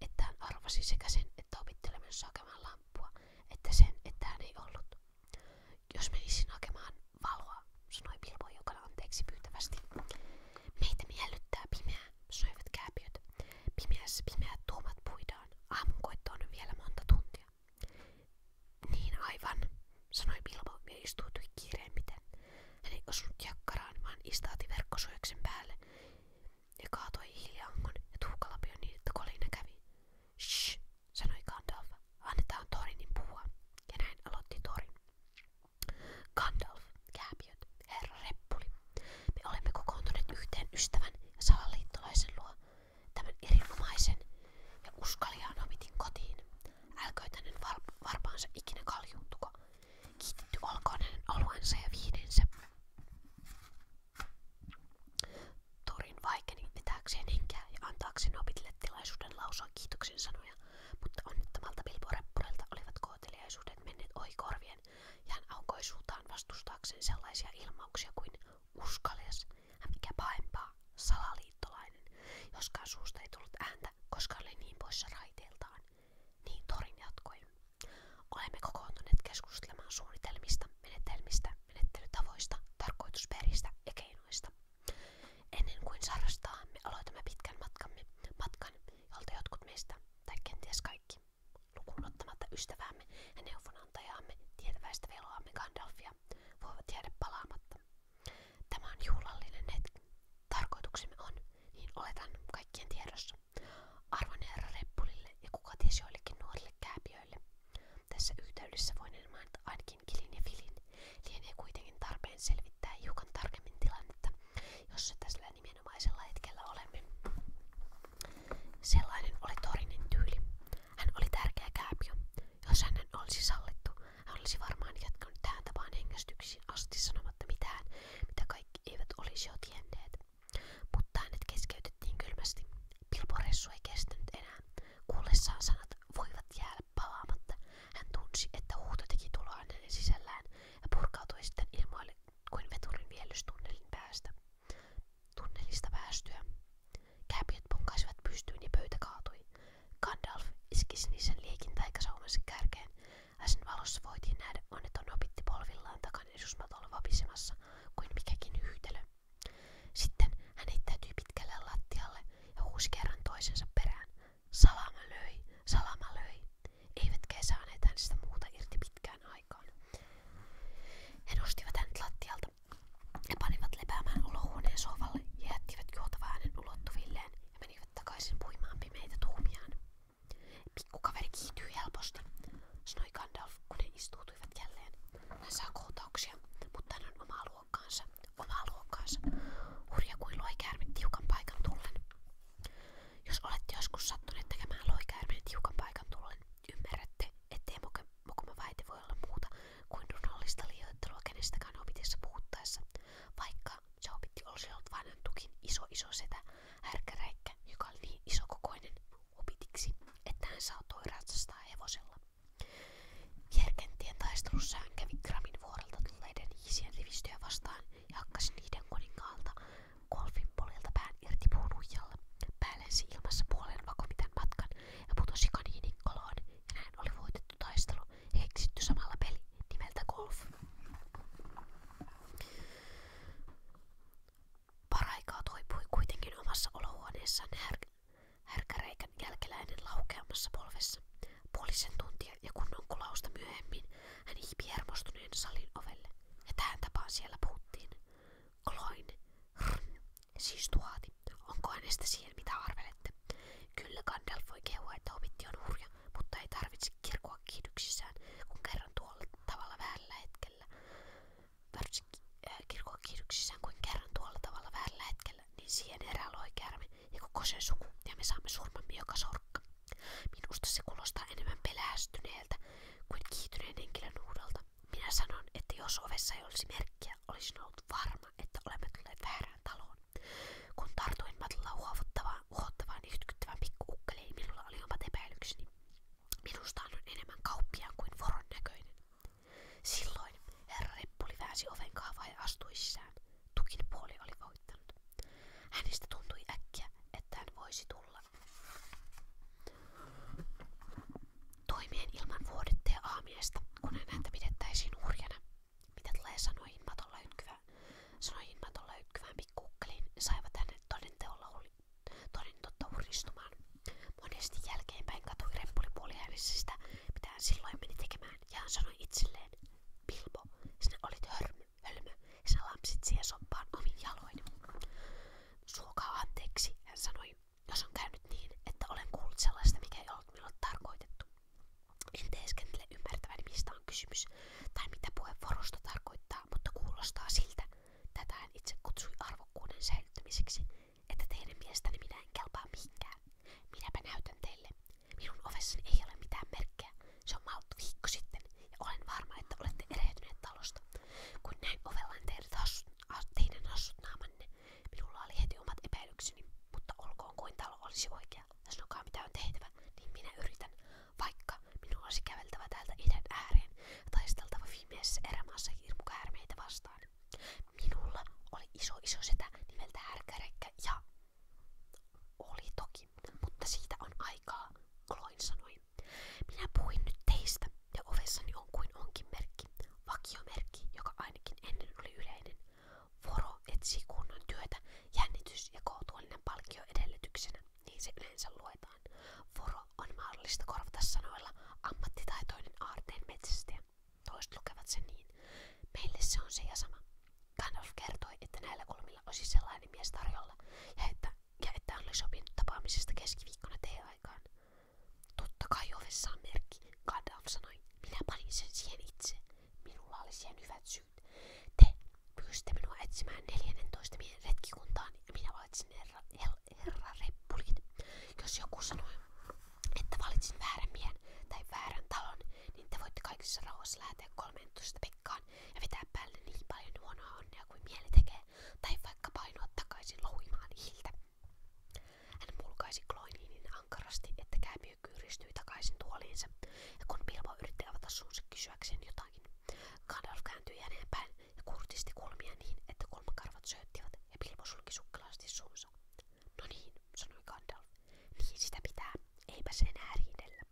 että hän arvasi sekä sen, että opittelemensa hakemaan lampua, että sen, että hän ei ollut. Jos menisin hakemaan valoa, sanoi Bilbo jokana anteeksi pyytävästi. Meitä miellyttää Pimeässä pimeät tuomat puidaan. Aamunkoitto on vielä monta tuntia. Niin aivan, sanoi Bilbo ja istuutui kiireimmiten. Hän ei osunut jakkaraan, vaan istaati verkkosuojeksen päälle ja kaatoi hiljaangon ja tuhkalapion niin, että kolina kävi. Shh, sanoi Gandalf. Annetaan Torinin puhua. Ja näin aloitti Torin. Gandalf, kääpiöt, herra Reppuli. Me olemme kokoontuneet yhteen ystävän ja salaliittolaisen luo. Tämän erinomaisen ja uskaliaan omitin kotiin. Älköitänen varpaansa ikinä kaljuuntuko. Kiitetty olkoon hänen oluensa ja viidensä. Torin vaikeni vetääkseen henkeä ja antaakseen opitille tilaisuuden lausua kiitoksen sanoja, mutta onnettomalta pilvoreppurilta olivat kohteliaisuudet menneet ohi korvien ja hän aukoi suutaan vastustaakseen sellaisia ilmauksia kuin uskalias, ja mikä pahempaa, salaliittolainen, joskaan suusta ei tullut ääntä, koska oli niin poissa raiteiltaan. Niin Torin jatkoi. Olemme kokoontuneet keskustelemaan suunnitelmista, menetelmistä, menettelytavoista, tarkoitusperistä ja keinoista. Ennen kuin sarrastaan, me aloitamme pitkän matkamme, matkan, jolta jotkut meistä, tai kenties kaikki, lukuun ottamatta ystäväämme ja neuvonantajaamme, tietäväistä veloamme Gandalfia, voivat jäädä palaamatta. Tämä on juhlallinen hetki. Tarkoituksemme on, niin oletan kaikkien tiedossa, arvoneera reppulille ja kuka ties joillekin nuorille kääpiöille. Tässä yhteydessä voin mainita ainakin Kilin ja Filin. Lienee kuitenkin tarpeen selvittää hiukan tarkemmin tilannetta, jossa tässä nimenomaisella hetkellä olemme. Sellainen oli Torinin tyyli. Hän oli tärkeä kääpiö. Jos hänen olisi sallittu, hän olisi varmaan jatkanut tähän tapaan hengästyksiin asti sanomatta mitään, mitä kaikki eivät olisi jo tienneet. Mutta hänet keskeytettiin kylmästi. Pilpo Ressu ei kestänyt enää. Kuullessaan sanat voivat jäädä palaamatta. Hän tunsi, että huuto teki tuloa hänen sisällään ja purkautui sitten ilmoille kuin veturin viellystunnelin päästä. Tunnelista päästyä Kääpiöt ponkaisivat pystyyn ja pöytä kaatui. Gandalf iski sinisen liekin taikasaumansa kärkeen, ja sen valossa voitiin nähdä onneton opitti polvillaan takan esusmatolla vapisemassa kuin mikäkin yhtälö. Sitten hän heittäytyi pitkälle lattialle ja huusi kerran toisensa perään. Salama löi, salama löi. Eivätkä saaneet hänestä muuta irti pitkään aikaan. He nostivat hänet lattialta aamusta. Ne panivat lepäämään olohuoneen sohvalle ja jättivät juotava äänen ulottuvilleen ja menivät takaisin puimaan pimeitä tuhmiaan. Pikkukaveri kiihtyi helposti, sanoi Gandalf, kun ne istuutuivat jälleen. Hän saa kohtauksia, mutta hän on omaa luokkaansa, omaa luokkaansa. Hurja kuin loikäärme tiukan paikan tullen. Jos olette joskus sattuneet tekemään loikäärmeen tiukan paikan tullen, ymmärrätte, ettei mokoma väite voi olla muuta kuin tunnollista liioittelua kenestäkään vaikka se opitti tukin iso iso setä härkäräikkä, joka oli niin isokokoinen opitiksi, että hän saatoi ratsastaa hevosella. Vierkentien taistelussa hän kävi Kramin vuorelta tulleiden hiisien vastaan ja hakkasi niiden golfin polilta pään irti puun huijalla. ilmassa puolen vakomiten matkan ja putosi kaniinin koloon ja näin oli voitettu pelattu taistelu ja keksitty samalla peli nimeltä golf. Paraikaa toipui kuitenkin omassa olohuoneessaan här- härkäreikän jälkeläinen laukeamassa polvessa. Puolisen tuntia ja kunnon kulausta myöhemmin hän hiipi hermostuneen salin ovelle. Ja tähän tapaan siellä puhuttiin. Kloin, rn, Siis tuoti, onko hänestä siihen mitä arvelette? Kyllä Gandalf voi kehua, että opitti on hurja, mutta ei tarvitse kirkua kiihdyksissään, kun kerran tuolla tavalla väärällä hetkellä. Varsinkin äh, kirkua kiihdyksissään, kuin kerran tuolla tavalla väärällä hetkellä, niin siihen erää loi käärme ja koko sen suku, ja me saamme surmamme joka sorkka. Minusta se kuulostaa enemmän pelästyneeltä kuin kiihtyneen henkilön uudolta. Minä sanon, että jos ovessa ei olisi merkkiä, olisin ollut varma, että olemme tulleet väärään väärään taloon. Kun tartuin matolla huovottavaan, uhottavaan yhtykyttävään pikkuukkeliin, minulla oli omat epäilykseni. Minusta on enemmän kauppiaan kuin voron näköinen. Silloin herra Reppuli väsi oven kahvaa ja astui sisään. Tukin puoli oli voittanut. Hänestä tuntui äkkiä, että hän voisi tulla. Toimien ilman vuodetta ja aamiaista, kun häntä pidettäisiin hurjana, mitä tulee sanoi himmaton löytkyvä, sanoi himmaton löytkyvään pikkukkeliin ja saivat hänet todenteolla toden totta huristumaan. Monesti jälkeenpäin katui reppuli puoliäänisistä, mitä hän silloin meni tekemään, ja hän sanoi itselleen, Pilpo, sinä olit hörmö, hölmö, ja sinä lampsit siihen soppaan omin jaloin. Suokaa anteeksi, hän sanoi, jos on käynyt niin, että olen kuullut sellaista, mikä ei ollut minulle tarkoitettu. En teeskentele ymmärtävän mistä on kysymys tai mitä puheenvuorosta tarkoittaa, mutta kuulostaa siltä, tätä hän itse kutsui arvokkuuden säilyttämiseksi, että teidän mielestäni minä en kelpaa mihinkään. Minäpä näytän teille. Minun ovessani ei ole mitään merkkejä. Se on malttu viikko sitten ja olen varma, että olette erehtyneet talosta. Kun näin ovellaan teidän hassut naamanne, Minulla oli heti omat epäilykseni, mutta olkoon kuin talo olisi oikea ja sanokaa mitä on tehtävä, niin minä yritän, vaikka minulla olisi käveltävä täältä idän ääreen ja taisteltava viimeisessä erämaassa hirmukäärmeitä vastaan. Minulla oli iso iso setä nimeltä härkärekkä ja... Oli toki, mutta siitä on aikaa, Kloin sanoi. Minä puhuin nyt teistä ja ovessani on kuin onkin merkki, vakiomerkki, joka ainakin ennen oli yleinen. Voro etsii kunnon työtä, jännitys ja kohtuullinen palkkio edellytyksenä, niin se yleensä luetaan. Voro on mahdollista korvata sanoilla ammattitaitoinen aarteen metsästäjä. Toiset sen niin. Meille se on se ja sama. kertoi, että näillä kulmilla olisi sellainen mies tarjolla ja että, ja että hän oli sopinut tapaamisesta keskiviikkona teeaikaan. Totta kai ovessa on Gandalf sanoi, minä panin sen siihen itse. Minulla oli siihen hyvät syyt. Te pyysitte minua etsimään 14 miehen retkikuntaan ja minä valitsin herra, herra reppulit. Jos joku sanoi, että valitsin väärän miehen tai väärän talon, niin te voitte kaikissa rauhassa lähteä 13 pekkaan ja vetää päälle niin paljon huonoa onnea kuin mieli tekee, tai vaikka painoa takaisin louhimaan hiiltä. Hän mulkaisi Kloiniin niin ankarasti, että kääpiö kyyristyi takaisin tuoliinsa, ja kun Bilbo yritti avata suunsa kysyäkseen jotakin, Gandalf kääntyi häneen päin ja kurtisti kulmia niin, että kulmakarvat sööttivät ja Bilbo sulki sukkelasti suunsa. No niin, sanoi Gandalf, niin sitä pitää, eipäs enää riidellä.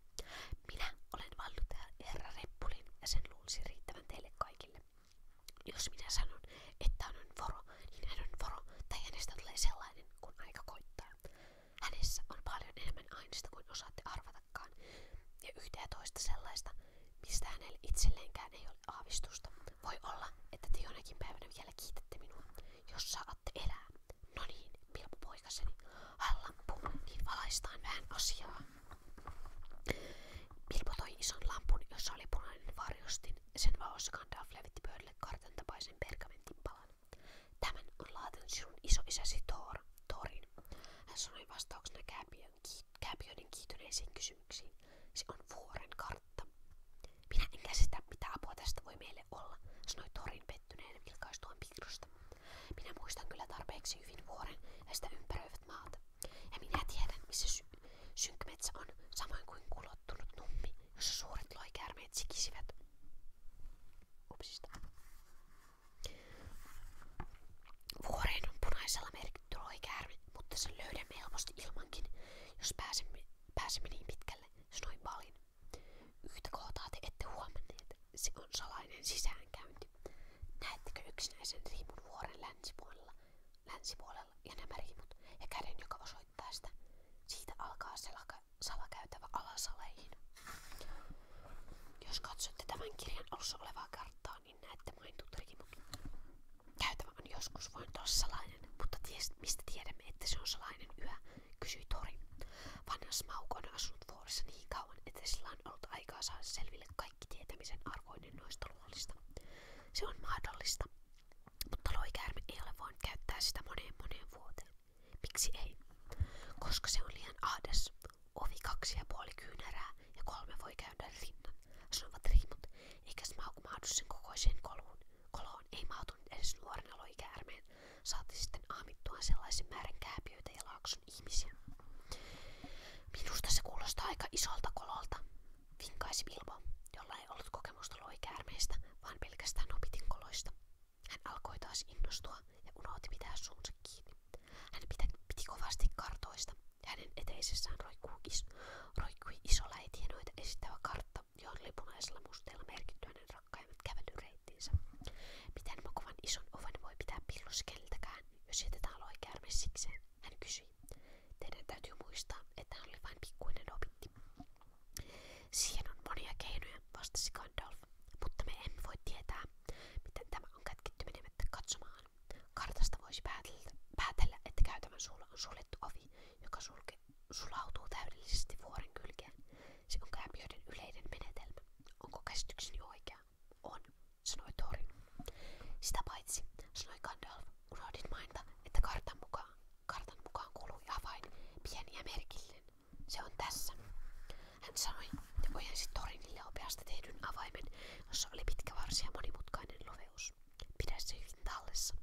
Minä olen vallutaja herra Reppulin ja sen luulisi riittävän teille kaikille. Jos minä sanon, että on voro, niin on voro, tai hänestä tulee kun aika koittaa. Hänessä on paljon enemmän aineista kuin osaatte arvatakaan, ja yhtä ja toista sellaista, mistä hänelle itselleenkään ei ole aavistusta. Voi olla, että te jonakin päivänä vielä minua, jos saatte elää. No niin, pilpupoikaseni, hallampu, niin valaistaan vähän asiaa. Pilpo toi ison lampun, jossa oli punainen varjostin, sen vaossa Gandalf levitti pöydälle kartan tapaisen pergamentin palan. Tämän on laatinut sinun isoisäsi Thor, Thorin. Hän sanoi vastauksena kääpiön, kääpiöiden kiitoneisiin kysymyksiin. Se on vuoren kartta. Minä en käsitä, mitä apua tästä voi meille olla, sanoi Thorin pettyneen vilkaistuaan pikrusta. Minä muistan kyllä tarpeeksi hyvin vuoren ja sitä ympäröivät maat. Ja minä tiedän, missä sy synkmetsä on, samoin kuin kulo tottunut nummi, suuret loikäärmeet sikisivät. Upsista. Vuoreen punaisella merkitty loikäärme, mutta sen löydämme helposti ilmankin, jos pääsemme, pääsemme niin pitkälle, sanoi Balin. Yhtä kohtaa se on salainen sisäänkäynti. Näettekö yksinäisen riimun vuoren länsipuolella, länsipuolella ja nämä riimut ja käden, joka osoittaa? aloittaa sitä. Siitä alkaa selaka, salakäytävä alasaleihin. Jos katsotte tämän kirjan alussa olevaa karttaa, niin näette mainitut rikimut. Käytävä on joskus voinut olla salainen, mutta ties, mistä tiedämme, että se on salainen yö, kysyi Tori. Vanha Smaug on asunut vuorissa niin kauan, että sillä on ollut aikaa saada selville kaikki tietämisen arvoinen noista luolista. Se on mahdollista, mutta loikäärme ei ole voinut käyttää sitä moneen moneen vuoteen. Miksi ei? Koska se on liian ahdas. Ovi kaksi ja puoli kyynärää ja kolme voi käydä rinnan, sanovat riimut, eikä Smaug mahdu sen kokoiseen koloon. Koloon ei mahtunut edes nuorena loikäärmeen, saati sitten aamittua sellaisen määrän kääpiöitä ja laakson ihmisiä. Minusta se kuulostaa aika isolta kololta, vinkaisi Bilbo, jolla Minulla ei ollut kokemusta loikäärmeistä, vaan pelkästään opitinkoloista. Hän alkoi taas innostua ja unohti pitää suunsa kiinni. Hän pitä, piti kovasti kartoista ja hänen eteisessään roikkui, is, roikkui iso läitienoita esittävä kartta, johon oli punaisella musteella merkitty hänen rakkaimmat kävelyreittinsä. Miten makovan ison oven voi pitää pillossa keltäkään, jos jätetään loikäärme sikseen, hän kysyi. Teidän täytyy muistaa, että hän oli vain pikkuinen opitti. Siihen on monia keinoja, vastasi Gandalf, mutta me emme voi tietää, miten tämä on kätketty menemättä katsomaan. Kartasta voisi päätellä, päätellä että käytävän suulla on suljettu ovi, joka sulke, sulautuu täydellisesti vuoren kylkeen. Se on kääpiöiden yleinen menetelmä. Onko käsitykseni oikea? On, sanoi Thorin. Sitä paitsi, sanoi Gandalf, unohdit mainita, että kartan mukaan Kartan mukaan kului avain pieni ja merkillinen. Se on tässä. Hän sanoi ja ojensi torinille opeasta tehdyn avaimen, jossa oli pitkä varsi ja monimutkainen loveus. Pidä se hyvin tallessa.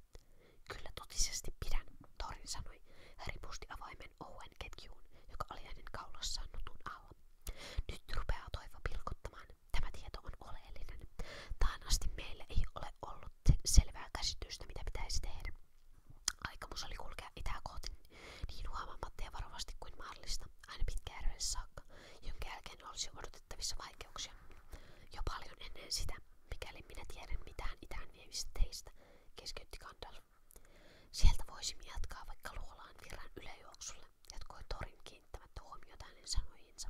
Kyllä totisesti pidän, Torin sanoi. Hän ripusti avaimen ouen joka oli hänen kaulassaan nutun alla. Nyt rupeaa pilkottamaan. Tämä tieto on oleellinen. Tähän asti meillä ei ole ollut selvää käsitystä, mitä pitäisi tehdä. Aikomus oli kulkea niin huomaamatta ja varovasti kuin mahdollista, jonka jälkeen olisi odotettavissa vaikeuksia. Jo paljon sitä, mikäli minä tiedän mitään itään keskeytti Gandalf. Sieltä voisimme jatkaa vaikka luolaan virran yläjuoksulle, jatkoi Torin kiinnittämättä huomiota hänen sanojiinsa.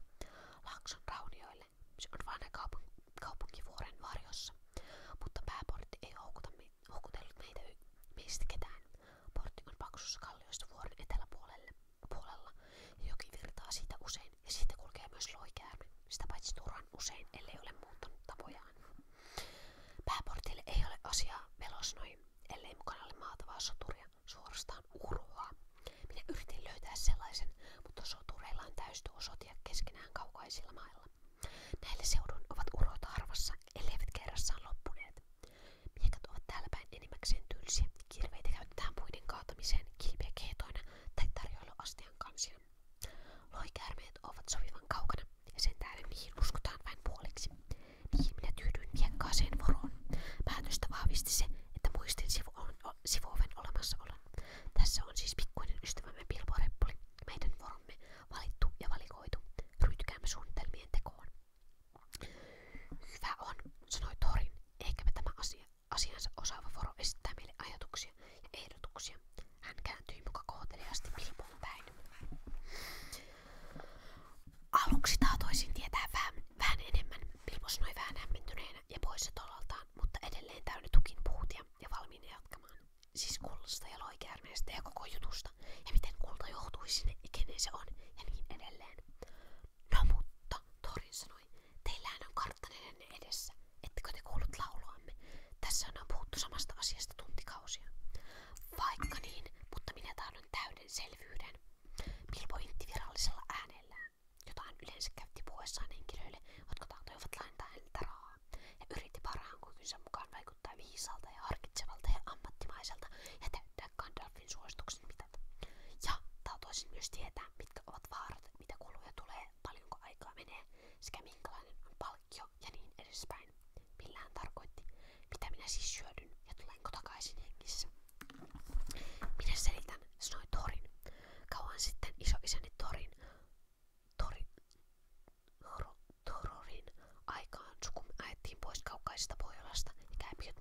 Laakson raunioille lähelle. on vain kaupunk kaupunkivuoren varjossa, mutta pääportti ei houkuta me houkutellut meitä meistä ketään. on paksussa kalliosta vuoren eteläpuolella ja joki virtaa siitä usein ja siitä kulkee myös loikäärme, sitä paitsi turhan usein, ellei ole muuttanut tapojaan. Pääportille ei ole asiaa melosnoi, ellei mukana ole maatavaa soturia, suorastaan urhoa. Minä yritin löytää sellaisen, mutta sotureillaan täystyy sotia keskenään kaukaisilla mailla. Näille seudun ovat urot harvassa, elleivät kerrassaan loppuneet. Miekat ovat täällä päin enimmäkseen tylsiä. Kirveitä käytetään puiden kaatamiseen, kilpiä keetoina tai tarjoiluastian kansia. Loikäärmeet ovat sovivan kaukana ja sen tähden niihin uskotaan vain puoliksi. Niihin minä tyydyin miekkaaseen voroon. Päätöstä vahvisti se, että muistin sivu on, sivuoven olemassaolon. Tässä on siis pikkuinen ystävämme Pilpo meidän voromme valittu ja valikoitu. Ryhtykäämme tekoon. Hyvä on, sanoi Torin, eikäpä tämä asia, asiansa osaava voro esittää meille ajatuksia ja ehdotuksia. Hän kääntyi muka kohteliaasti Pilpoon Aluksi tahtoisin tietää vähän, vähän enemmän, Pilpo sanoi vähän hämmentyneenä ja poissa tolaltaan, mutta edelleen täynnä tukin puutia ja valmiina jatkamaan. Siis kullasta ja loikäärmeestä ja koko jutusta, ja miten kulta johtui sinne ja kenen se on, ja niin No mutta, Torin sanoi, teillähän on karttaneenne edessä, ettekö te kuullut lauluamme? Tässä on puhuttu samasta tuntikausia. Vaikka niin, mutta minä tahdon täyden selvyyden. Milpo intti virallisella äänellään, yleensä käytti puheessaan henkilöille, jotka tahtoivat lainata häneltä rahaa ja yritti parhaan kykynsä mukaan vaikuttaa viisalta ja harkitsevalta ja ammattimaiselta ja täyttää Gandalfin suosituksen mitat. Ja tahtoisin myös tietää, mitkä ovat vaarat, mitä kuluja tulee, paljonko aikaa menee sekä minkälainen on palkkio ja niin edespäin. Millä hän tarkoitti, mitä minä siis syödyn ja tulenko takaisin hengissä. Minä selitän, sanoi Torin. Kauan sitten isoisäni Torin Tori, Tororin aikaan sukumme ajettiin pois kaukaisesta Pohjolasta ja käymiöt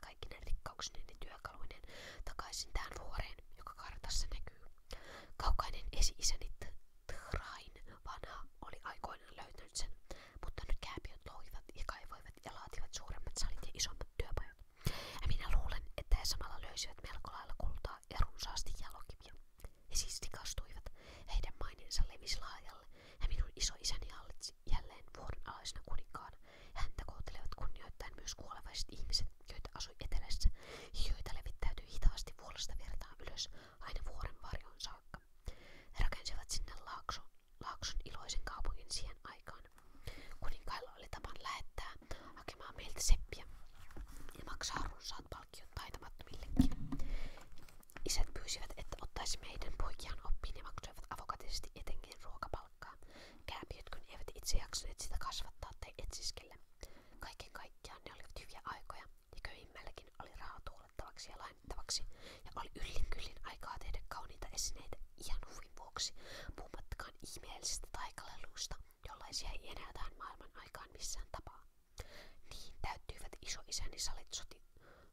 kaikki ne rikkauksineen ja työkaluineen takaisin tähän vuoreen, joka kartassa näkyy. Kaukainen esi-isäni Train oli aikoinaan löytänyt sen, mutta nyt kääpiöt loivat ja kaivoivat ja laativat suuremmat salit ja isommat työpajat. minä luulen, että he samalla löysivät melko lailla kultaa ruokaa ja runsaasti jalokiviä. He siis rikastuivat, heidän maineensa levisi laajalle, ja minun isoisäni hallitsi jälleen vuoden alaisena kuninkaana. Häntä kohtelevat kunnioittain myös kuolevaiset ihmiset, joita asui etelässä, ja joita levittäytyi hitaasti vuolesta vertaan ylös aina vuoren varjon saakka. He rakensivat sinne laakso, laakson iloisen kaupungin siihen aikaan. Kuninkailla oli tavan lähettää hakemaan meiltä seppiä ja maksaa runsaat palkkiot taitamattomillekin. Isät pyysivät, että ottaisimme heidän poikiaan oppiin ja maksoivat avokatisesti etenkin ruokapalkkaa. Kääpiöt, kun eivät itse jaksaneet sitä kasvattaa tai etsiskellä. Kaiken kaikkiaan ne olivat hyviä aikoja ja köyhimmälläkin oli rahaa tuulettavaksi ja lainattavaksi ja oli yllin kyllin aikaa tehdä kauniita esineitä ihan huvin vuoksi, puhumattakaan ihmeellisistä taikaleluista jollaisia ei enää tähän maailman aikaan missään tapaa. Niin täyttyivät isoisäni salit soti,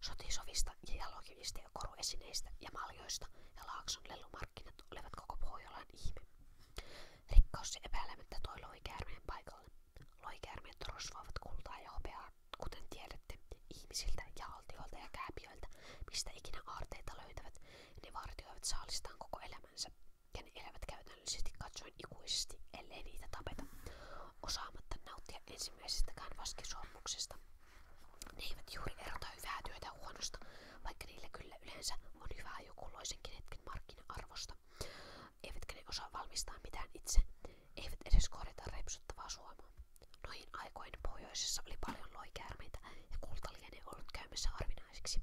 sotisovista ja jalokivistä ja koruesineistä ja maljoista, ja Laakson lelumarkkinat olivat koko Pohjolan ihme. Rikkaus ja epäilemättä toi loikäärmeen paikalle. Loikäärmeet rosvoivat kultaa ja hopeaa, kuten tiedätte, ihmisiltä ja altioilta ja kääpiöiltä, mistä ikinä aarteita löytävät, ja ne vartioivat saalistaan koko elämänsä ja ne elävät käytännöllisesti katsoen ikuisesti, ellei niitä tapeta, osaamatta nauttia ensimmäisestäkään vaskisormuksesta. Ne eivät juuri erota hyvää työtä huonosta, vaikka niillä kyllä yleensä on hyvää joku loisenkin hetken markkina-arvosta. Eivätkä ne osaa valmistaa mitään itse, eivät edes korjata repsuttavaa suomaa. Noihin aikoihin pohjoisessa oli paljon loikäärmeitä ja kulta lienee ollut käymässä harvinaiseksi.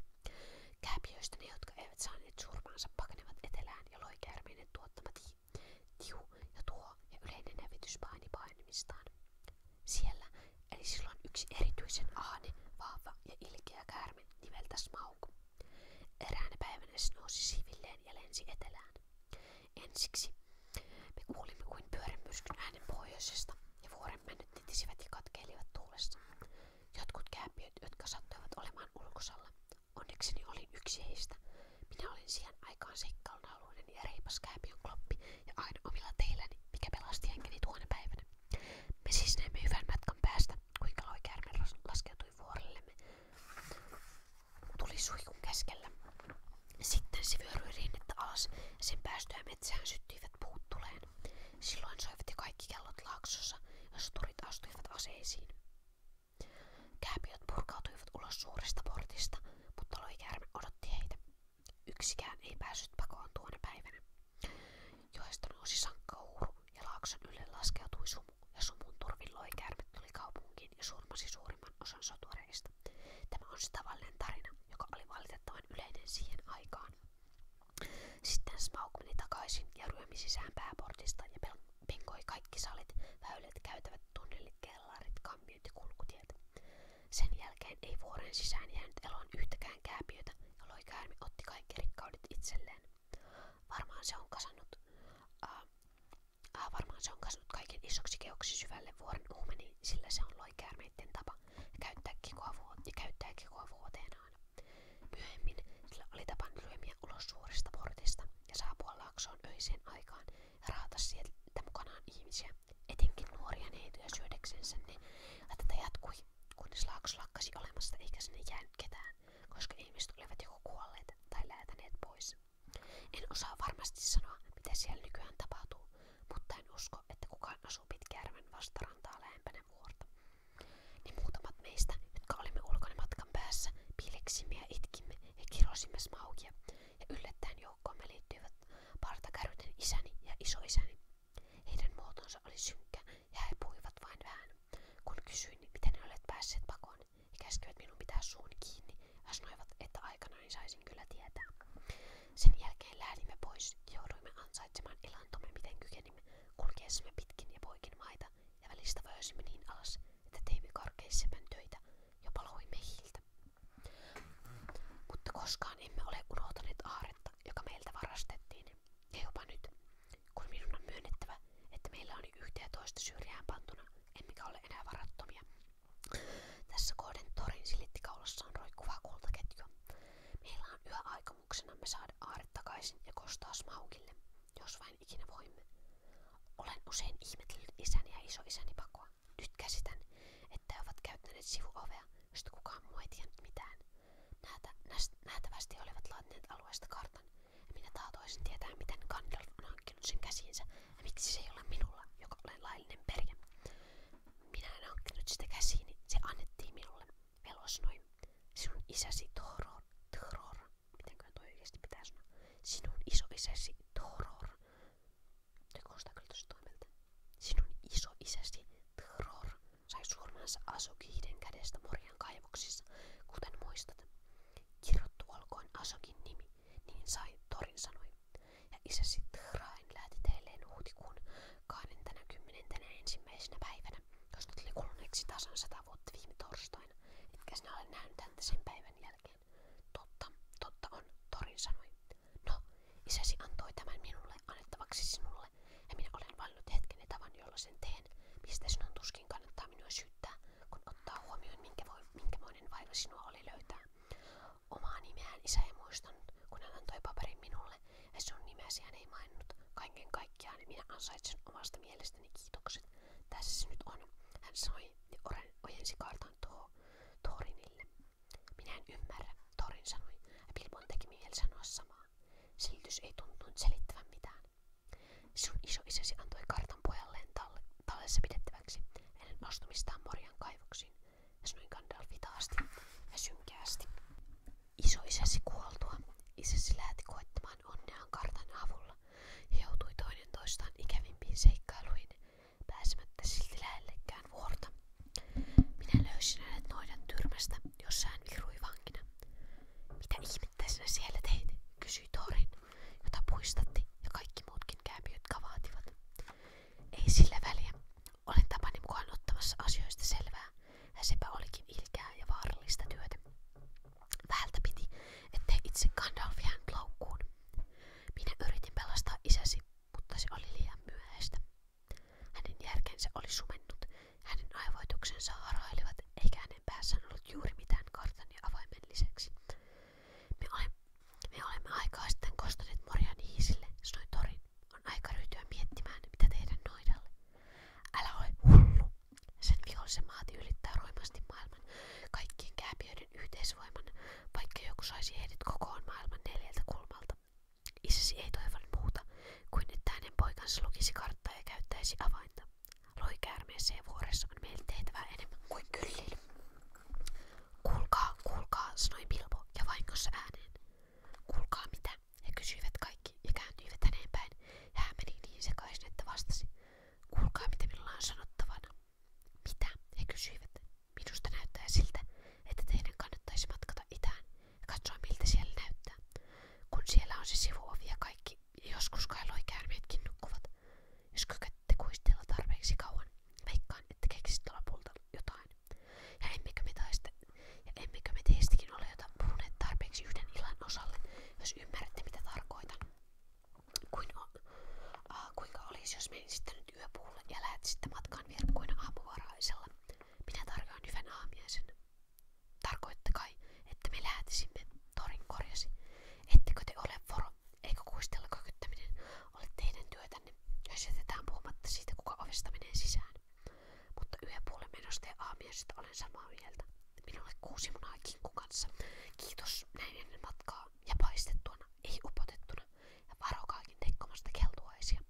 Kääpiöistä ne, jotka eivät saaneet surmaansa, pakenevat etelään ja loikäärmeinen tuottama ti, tiu ja tuo ja yleinen hävitys paini painemistaan. Siellä eli silloin yksi erityisen ahne, vahva ja ilkeä käärme nimeltä Smaug. Eräänä päivänä se nousi siivilleen ja lensi etelään. Ensiksi me kuulimme kuin pyörämyrskyn äänen pohjoisesta ja vuoren männyt titisivät ja katkeilivat tuulessa. Jotkut kääpiöt, jotka sattuivat olemaan ulkosalla. Onnekseni olin yksi heistä. Minä olin siihen aikaan seikkailun haluinen ja reipas kääpiön kloppi ja aina omilla teilläni, mikä pelasti henkeni tuona päivänä. Me siis näimme hyvän matkan päästä, kuinka loikäärme laskeutui vuorillemme. Tuli suihkun keskellä. Sitten se vyöryi rinnettä alas ja sen päästyä metsään syttyivät puut tuleen. Silloin soivitti kaikki kellot laaksossa ja soturit astuivat aseisiin. Kääpiöt purkautuivat ulos suuresta portista, mutta loikäärme odotti heitä. Yksikään ei päässyt pakoon tuona päivänä. Joesta nousi sankkauuru ja laakson ylle laskeutui sumu, ja sumun turvin loikäärme tuli kaupunkiin ja surmasi suurimman osan sotureista. Tämä on se tavallinen tarina, joka oli valitettavan yleinen siihen aikaan. Sitten Smaug meni takaisin ja ryömi sisään pääportista ja penkoi kaikki salit, väylät, käytävät, tunnelit, kellarit, kammiot ja kulkutiet. Sen jälkeen ei vuoren sisään jäänyt eloon yhtäkään kääpiötä, jolloin käärme otti kaikki rikkaudet itselleen. Varmaan se on kasannut, äh, äh, varmaan se on kasannut kaiken isoksi keoksi syvälle vuoren uumeniin, sillä se on loikäärmeiden tapa ja käyttää kikoa, vuot- ja käyttää kikoa vuoteen. Myöhemmin sillä oli tapana ryömiä ulos suorista portista ja saapua laaksoon öiseen aikaan ja raata sieltä mukanaan ihmisiä, etenkin nuoria neitoja syödäksensä, niin ja tätä jatkui, kunnes laakso lakkasi olemasta eikä sinne jäänyt ketään, koska ihmiset olivat joko kuolleet tai läätäneet pois. En osaa varmasti sanoa, mitä siellä nykyään tapahtuu, mutta en usko, että kukaan asuu Pitkäjärven vastarantaa lähempänä vuorta. Ne niin muutamat meistä, jotka olimme ulkona matkan päässä, piileksimme ja itkimme ja kirosimme smaukia, ja yllättäen joukkoamme liittyivät partakärryten isäni ja isoisäni. Heidän muotonsa oli synkkä ja he puhuivat vain vähän. Kun kysyin, miten ne päässeet pakoon, he käskivät minun pitää suun kiinni ja sanoivat, että aikanaan niin saisin kyllä tietää. Sen jälkeen lähdimme pois ja jouduimme ansaitsemaan elantomme miten kykenimme etenimme, kulkeessamme pitkin ja poikin maita ja välistä vöisimme niin alas, että teimme karkeissemän töitä ja paloimme hiiltä. Mutta koskaan emme ole unohtaneet aaretta, joka meiltä varastettiin. Ja jopa nyt, kun minun on myönnettävä, että meillä on yhteen toista syrjään pantuna, enää varattomia. Tässä kohden torin silittikaulassaan roikkuvaa kultaketjua. Meillä on yhä aikomuksenamme saada saada aaret ja kostaa Smaugille, jos vain ikinä voimme. Olen usein ihmetellyt isäni ja isoisäni pakoa. Nyt käsitän, että he ovat käyttäneet sivuovea, josta kukaan muu mitään. Näitä, näst, nähtävästi olivat laatineet alueesta kartan, minä tahtoisin tietää, miten on hankkinut sen miksi se ei minulla, joka olen laillinen perjä. Minä en hankkinut sitä se annettiin minulle. Velosnoi. Sinun isäsi Toror, Toror, mitenköhän toi oikeasti pitää Sinun isoisäsi Toror. Toi kuulostaa kyllä tosi toimelta. Sinun isoisäsi Toror sai surmansa Asokihden kädestä Morjan kaivoksissa, kuten muistat. Kirjoittu olkoon Asokin nimi, niin sai, Torin sanoi. Ja isäsi Train lähti teilleen huhtikuun 21. ensimmäisenä päivänä koska tuli kuluneeksi tasan sata viime torstaina, etkä sinä ole nähnyt häntä sen päivän jälkeen. Totta, totta on, Torin sanoi. No, isäsi antoi tämän minulle annettavaksi sinulle, ja minä olen valinnut hetken tavan, jolla sen teen, mistä sinun tuskin kannattaa minua syyttää, kun ottaa huomioon, minkä voi, minkämoinen vaiva sinua oli löytää. Omaa nimeään isä ei muistanut, kun hän antoi paperin minulle, ja sun nimesi hän ei maininnut. Kaiken kaikkiaan niin minä ansaitsen omasta mielestäni kiitokset. Tässä se nyt on, hän sanoi ja ojensi kartan to Thorinille. Minä en ymmärrä, Thorin sanoi, ja Bilbon teki mieli sanoa samaa. Silitys ei tuntunut selittävän mitään. Sun isoisäsi antoi kartan pojalleen talle, tallessa pidettäväksi ennen astumistaan Morjan kaivoksiin. Ja sanoi Gandalf hitaasti ja synkeästi. Isoisäsi kuoltua isäsi lähti koettamaan onneaan kartan avulla ja joutui toinen toistaan ikävimpiin seikkailuihin, pääsemättä silti lähellekään vuorta. Minä löysin hänet noidan tyrmästä, jossa hän virui vankina. Mitä ihmettä sinä siellä teit? kysyi Torin, jota puistatti ja kaikki muutkin jotka vaativat. Ei sillä väliä. Olen tapani mukaan ottamassa asioista selvää, ja sepä olikin ilkeää ja vaarallista työtä. Vähältä piti, ettei itse Gandalf jäänyt laukkuun. Minä yritin pelastaa isäsi, mutta se oli liian myöhäistä. Hänen järkensä oli sumennut, hänen aivoituksensa harailivat, eikä hänen päässään ollut juuri mitään kartan ja avaimen lisäksi. Me, ole, me olemme aikaa sitten kostaneet Morjan hiisille, sanoi Torin. On aika ryhtyä miettimään, mitä tehdä noidalle. Älä ole hullu, sen vihollisen maati ylittää roimasti maailman kaikkien kääpiöiden yhteisvoiman, vaikka joku saisi heidät maailman neljältä kulmalta. Isäsi ei toivonut muuta kuin että hänen poikansa lukisi karttaa ja käyttäisi avainta. Loikäärmeessä ja vuoressa on meille tehtävää enemmän kuin kyllin. sanoi Bilbo ja vahingossa ääneen. Kuulkaa mitä? He kysyivät kaikki ja kääntyivät häneen päin, ja hän meni niin sekaisin, että vastasi. Kuulkaa, mitä minulla on sanottavana. Mitä? He kysyivät. Minusta näyttää siltä, että teidän kannattaisi matkata itään ja katsoa, miltä siellä näyttää. Kun siellä on se sivuovi ja kaikki, ja joskus kai loikäärmeetkin nukkuvat. Jos kykätte kuistella tarpeeksi kauan, veikkaan, että keksit lopulta jotain. Ja emmekö me taiste, ja emmekö me teistäkin ole jotain puhuneet tarpeeksi yhden illan osalle, jos ymmärrätte mitä tarkoitan? Kuin kuinka olisi, jos menisitte nyt yöpuulle ja lähtisitte matkaan virkkuina aamuvaraisella? Minä tarjoan hyvän aamiaisen. Tarkoitte kai, että me lähtisimme, Torin korjasi. Ettekö te ole voro? Eikö kuistella kökyttäminen ole teidän työtänne, jos jätetään puhumatta kuka ovesta menee sisään? Mutta yhden puolen menosta ja aamiaisesta olen samaa mieltä. Minulle kuusi munaa kinkku kanssa. Kiitos näin ennen matkaa ja paistettuna, ei upotettuna. Ja varokaakin tekkomasta keltuaisia.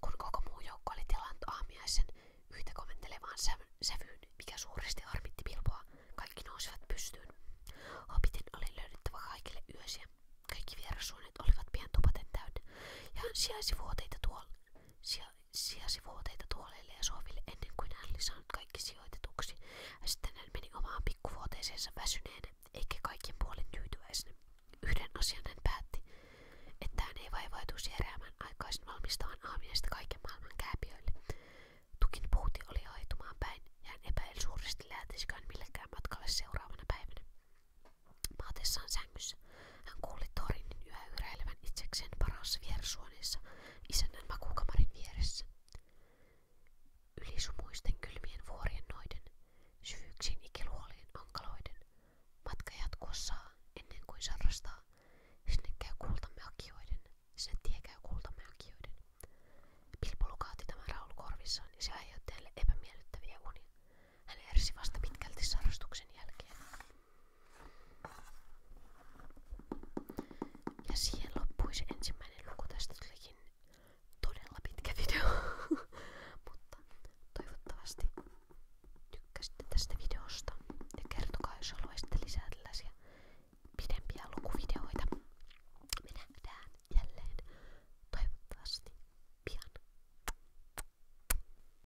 Kun koko muu joukko oli tilannut aamiaisen yhtä komentelevaan sävy sävyyn, mikä suuresti harmitti pilpoa, kaikki nousivat pystyyn. Hobitin oli löydettävä kaikille yösiä. Kaikki vierasuoneet olivat pian tupaten täynnä. Ja sijaisi vuoteita tuolla. Sija, sijasivuoteita tuoleille ja sohville ennen kuin hän oli saanut kaikki sijoitetuksi. Ja sitten hän meni omaan pikkuvuoteeseensa väsyneenä, eikä kaiken puolin tyytyväisenä. Yhden asian hän päätti, että hän ei vaivautuisi heräämään aikaisin valmistavan aamiaista kaiken maailman kääpiöille. Tukin puuti oli haitumaan päin ja hän epäili suuresti lähtisikään millekään matkalle seuraavana päivänä. Maatessaan sängyssä hän kuuli torinin yhä yräilevän itsekseen parassa viersuoneessa isännän makuukamarin vieressä. Ylisumuisten kylmien vuorien noiden, syvyyksiin ikiluolien onkaloiden, matka jatkua saa ennen kuin sarrastaa, sinne käy kultamme hakijoiden, sinne tie käy kultamme hakijoiden. Pilpo lukaati tämän raulu korvissaan ja se aiheutti hänelle epämiellyttäviä unia. Hän ärsi vasta pitkälti sarrastuksen jälkeen. Ja siihen loppui se ensimmäinen luku. Tästä tulikin todella pitkä video. *laughs* Mutta toivottavasti tykkäsitte tästä videosta. Ja kertokaa, jos haluaisitte lisää tällaisia pidempiä lukuvideoita. Me nähdään jälleen toivottavasti pian.